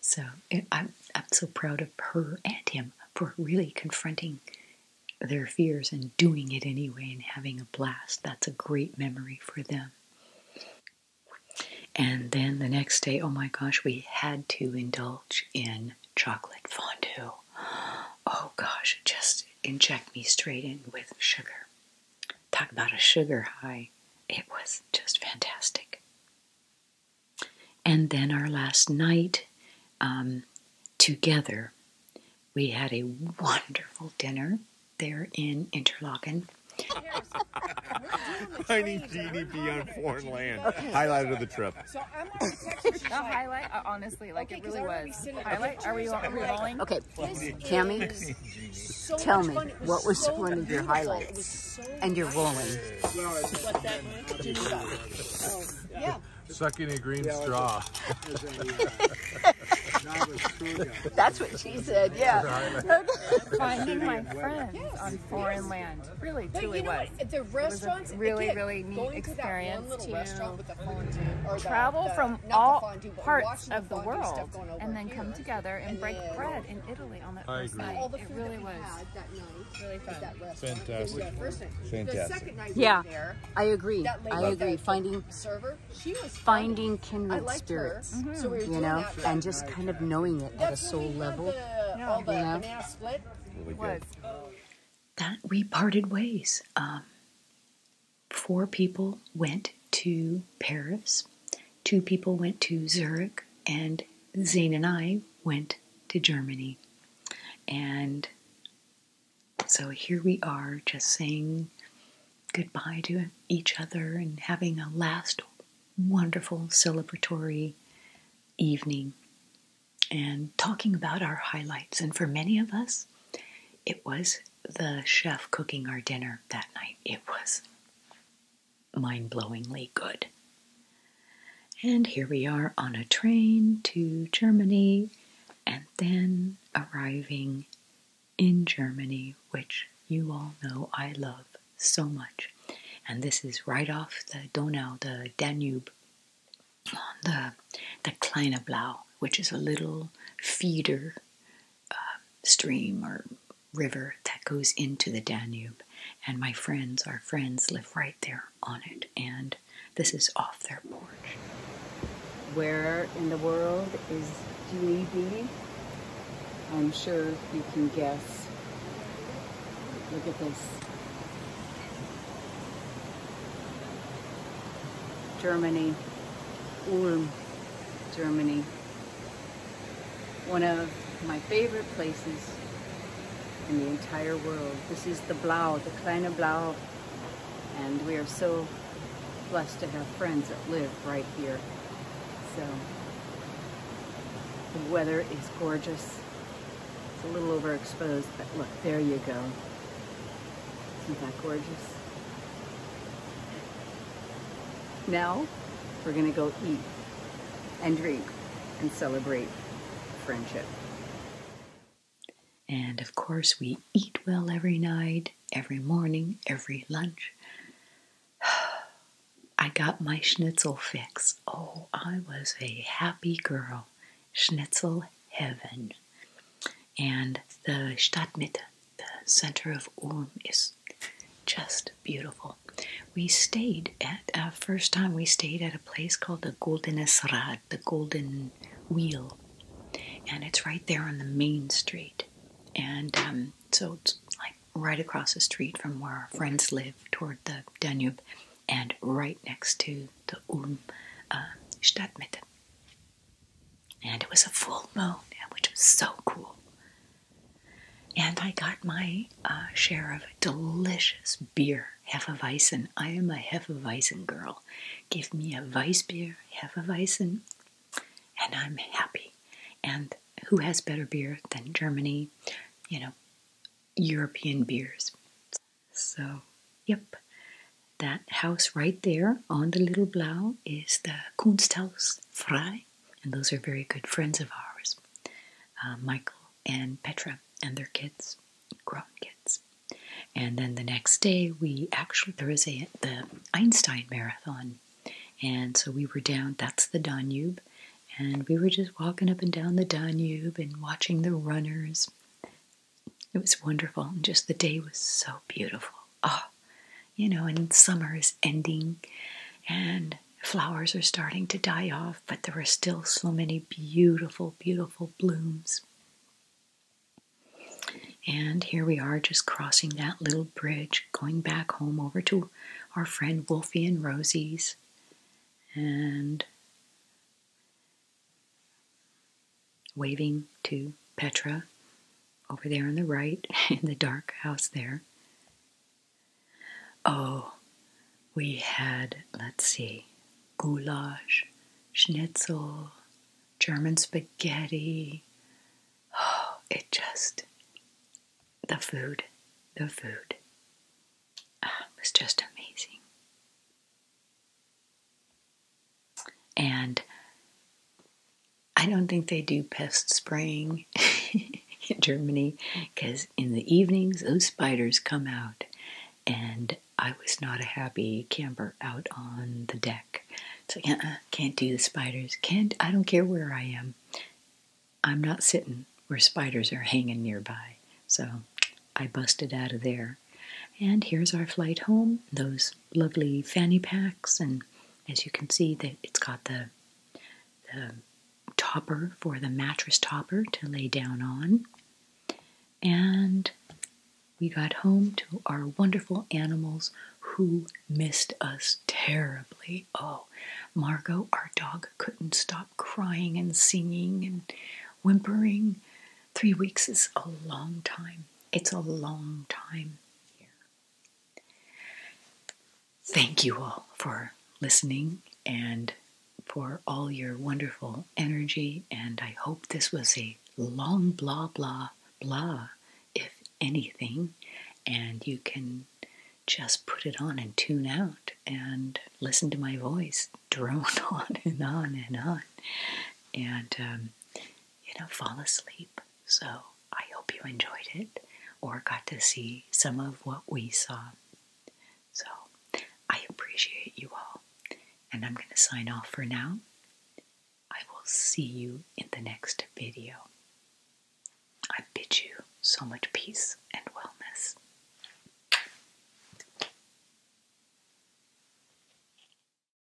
so I'm, I'm so proud of her and him for really confronting their fears and doing it anyway and having a blast. That's a great memory for them. And then the next day, oh my gosh, we had to indulge in chocolate fondue. Oh gosh, just inject me straight in with sugar. Talk about a sugar high. It was just fantastic. And then our last night um, together, we had a wonderful dinner there in Interlaken. Tiny genie beyond foreign land. Highlight of the trip. So I'm on highlight, uh, honestly, like it really was. Highlight? are we rolling? Okay it. tell me, what was one of your highlights? and your bowling. Uh, yeah. Sucking a green straw. That's what she said, yeah. Finding my friends yes, on foreign land. Really, truly What? it was a really, really neat experience to, travel from all parts of the, world and then come together and, break bread in Italy on that first night. All the food it really was that night, really fun. That restaurant. Fantastic. yeah, I agree. I agree. Finding finding kindred spirits, mm-hmm. you know, and just kind of knowing it at a soul level. All the banana split. That we parted ways. Um, four people went to Paris, two people went to Zurich, and Zane and I went to Germany. And so here we are, just saying goodbye to each other and having a last wonderful celebratory evening and talking about our highlights. And for many of us, it was the chef cooking our dinner that night. It was mind blowingly good. And here we are on a train to Germany and then arriving in Germany, which you all know I love so much. And this is right off the Donau, the Danube, on the, the Kleine Blau which is a little feeder um, stream or river that goes into the Danube. And my friends, our friends, live right there on it. And this is off their porch. Where in the world is Dini I'm sure you can guess. Look at this. Germany, Ulm, Germany. One of my favorite places in the entire world. This is the Blau, the Kleine Blau, and we are so blessed to have friends that live right here. So the weather is gorgeous. It's a little overexposed, but look, there you go. Isn't that gorgeous? Now, we're gonna go eat and drink and celebrate friendship. And of course, we eat well every night, every morning, every lunch. I got my schnitzel fix. Oh, I was a happy girl. Schnitzel heaven and the Stadtmitte, the center of Ulm, is just beautiful. We stayed at our first time. We stayed at a place called the Goldenes Rad, the Golden Wheel, and it's right there on the main street. And um, so it's like right across the street from where our friends live, toward the Danube, and right next to the Ulm uh, Stadtmitte. And it was a full moon, which was so cool. And I got my uh, share of delicious beer, half a Weizen. I am a half a Weizen girl. Give me a beer, half a Weizen, and I'm happy. And who has better beer than Germany? You know, European beers. So, yep, that house right there on the Little Blau is the Kunsthaus Frei, and those are very good friends of ours, uh, Michael and Petra and their kids, grown kids. And then the next day, we actually there is a the Einstein Marathon, and so we were down. That's the Danube, and we were just walking up and down the Danube and watching the runners. It was wonderful, and just the day was so beautiful. Oh, you know, and summer is ending, and flowers are starting to die off, but there are still so many beautiful, beautiful blooms. And here we are just crossing that little bridge, going back home over to our friend Wolfie and Rosie's. And waving to Petra over there on the right in the dark house there. Oh, we had, let's see, goulash, schnitzel, German spaghetti. Oh, it just, the food, the food. it ah, was just amazing. And I don't think they do pest spraying in Germany because in the evenings those spiders come out, and I was not a happy camper out on the deck. So like, uh-uh, can't do the spiders. Can't. I don't care where I am. I'm not sitting where spiders are hanging nearby. So I busted out of there. And here's our flight home, those lovely fanny packs. And as you can see, that it's got the, the topper for the mattress topper to lay down on. And we got home to our wonderful animals who missed us terribly. Oh, Margot, our dog, couldn't stop crying and singing and whimpering. Three weeks is a long time. It's a long time here. Thank you all for listening and for all your wonderful energy. And I hope this was a long blah, blah, blah, if anything. And you can just put it on and tune out and listen to my voice drone on and on and on. And um, you know, fall asleep. So I hope you enjoyed it or got to see some of what we saw. So I appreciate you all. And I'm going to sign off for now. I will see you in the next video. I bid you so much peace and wellness.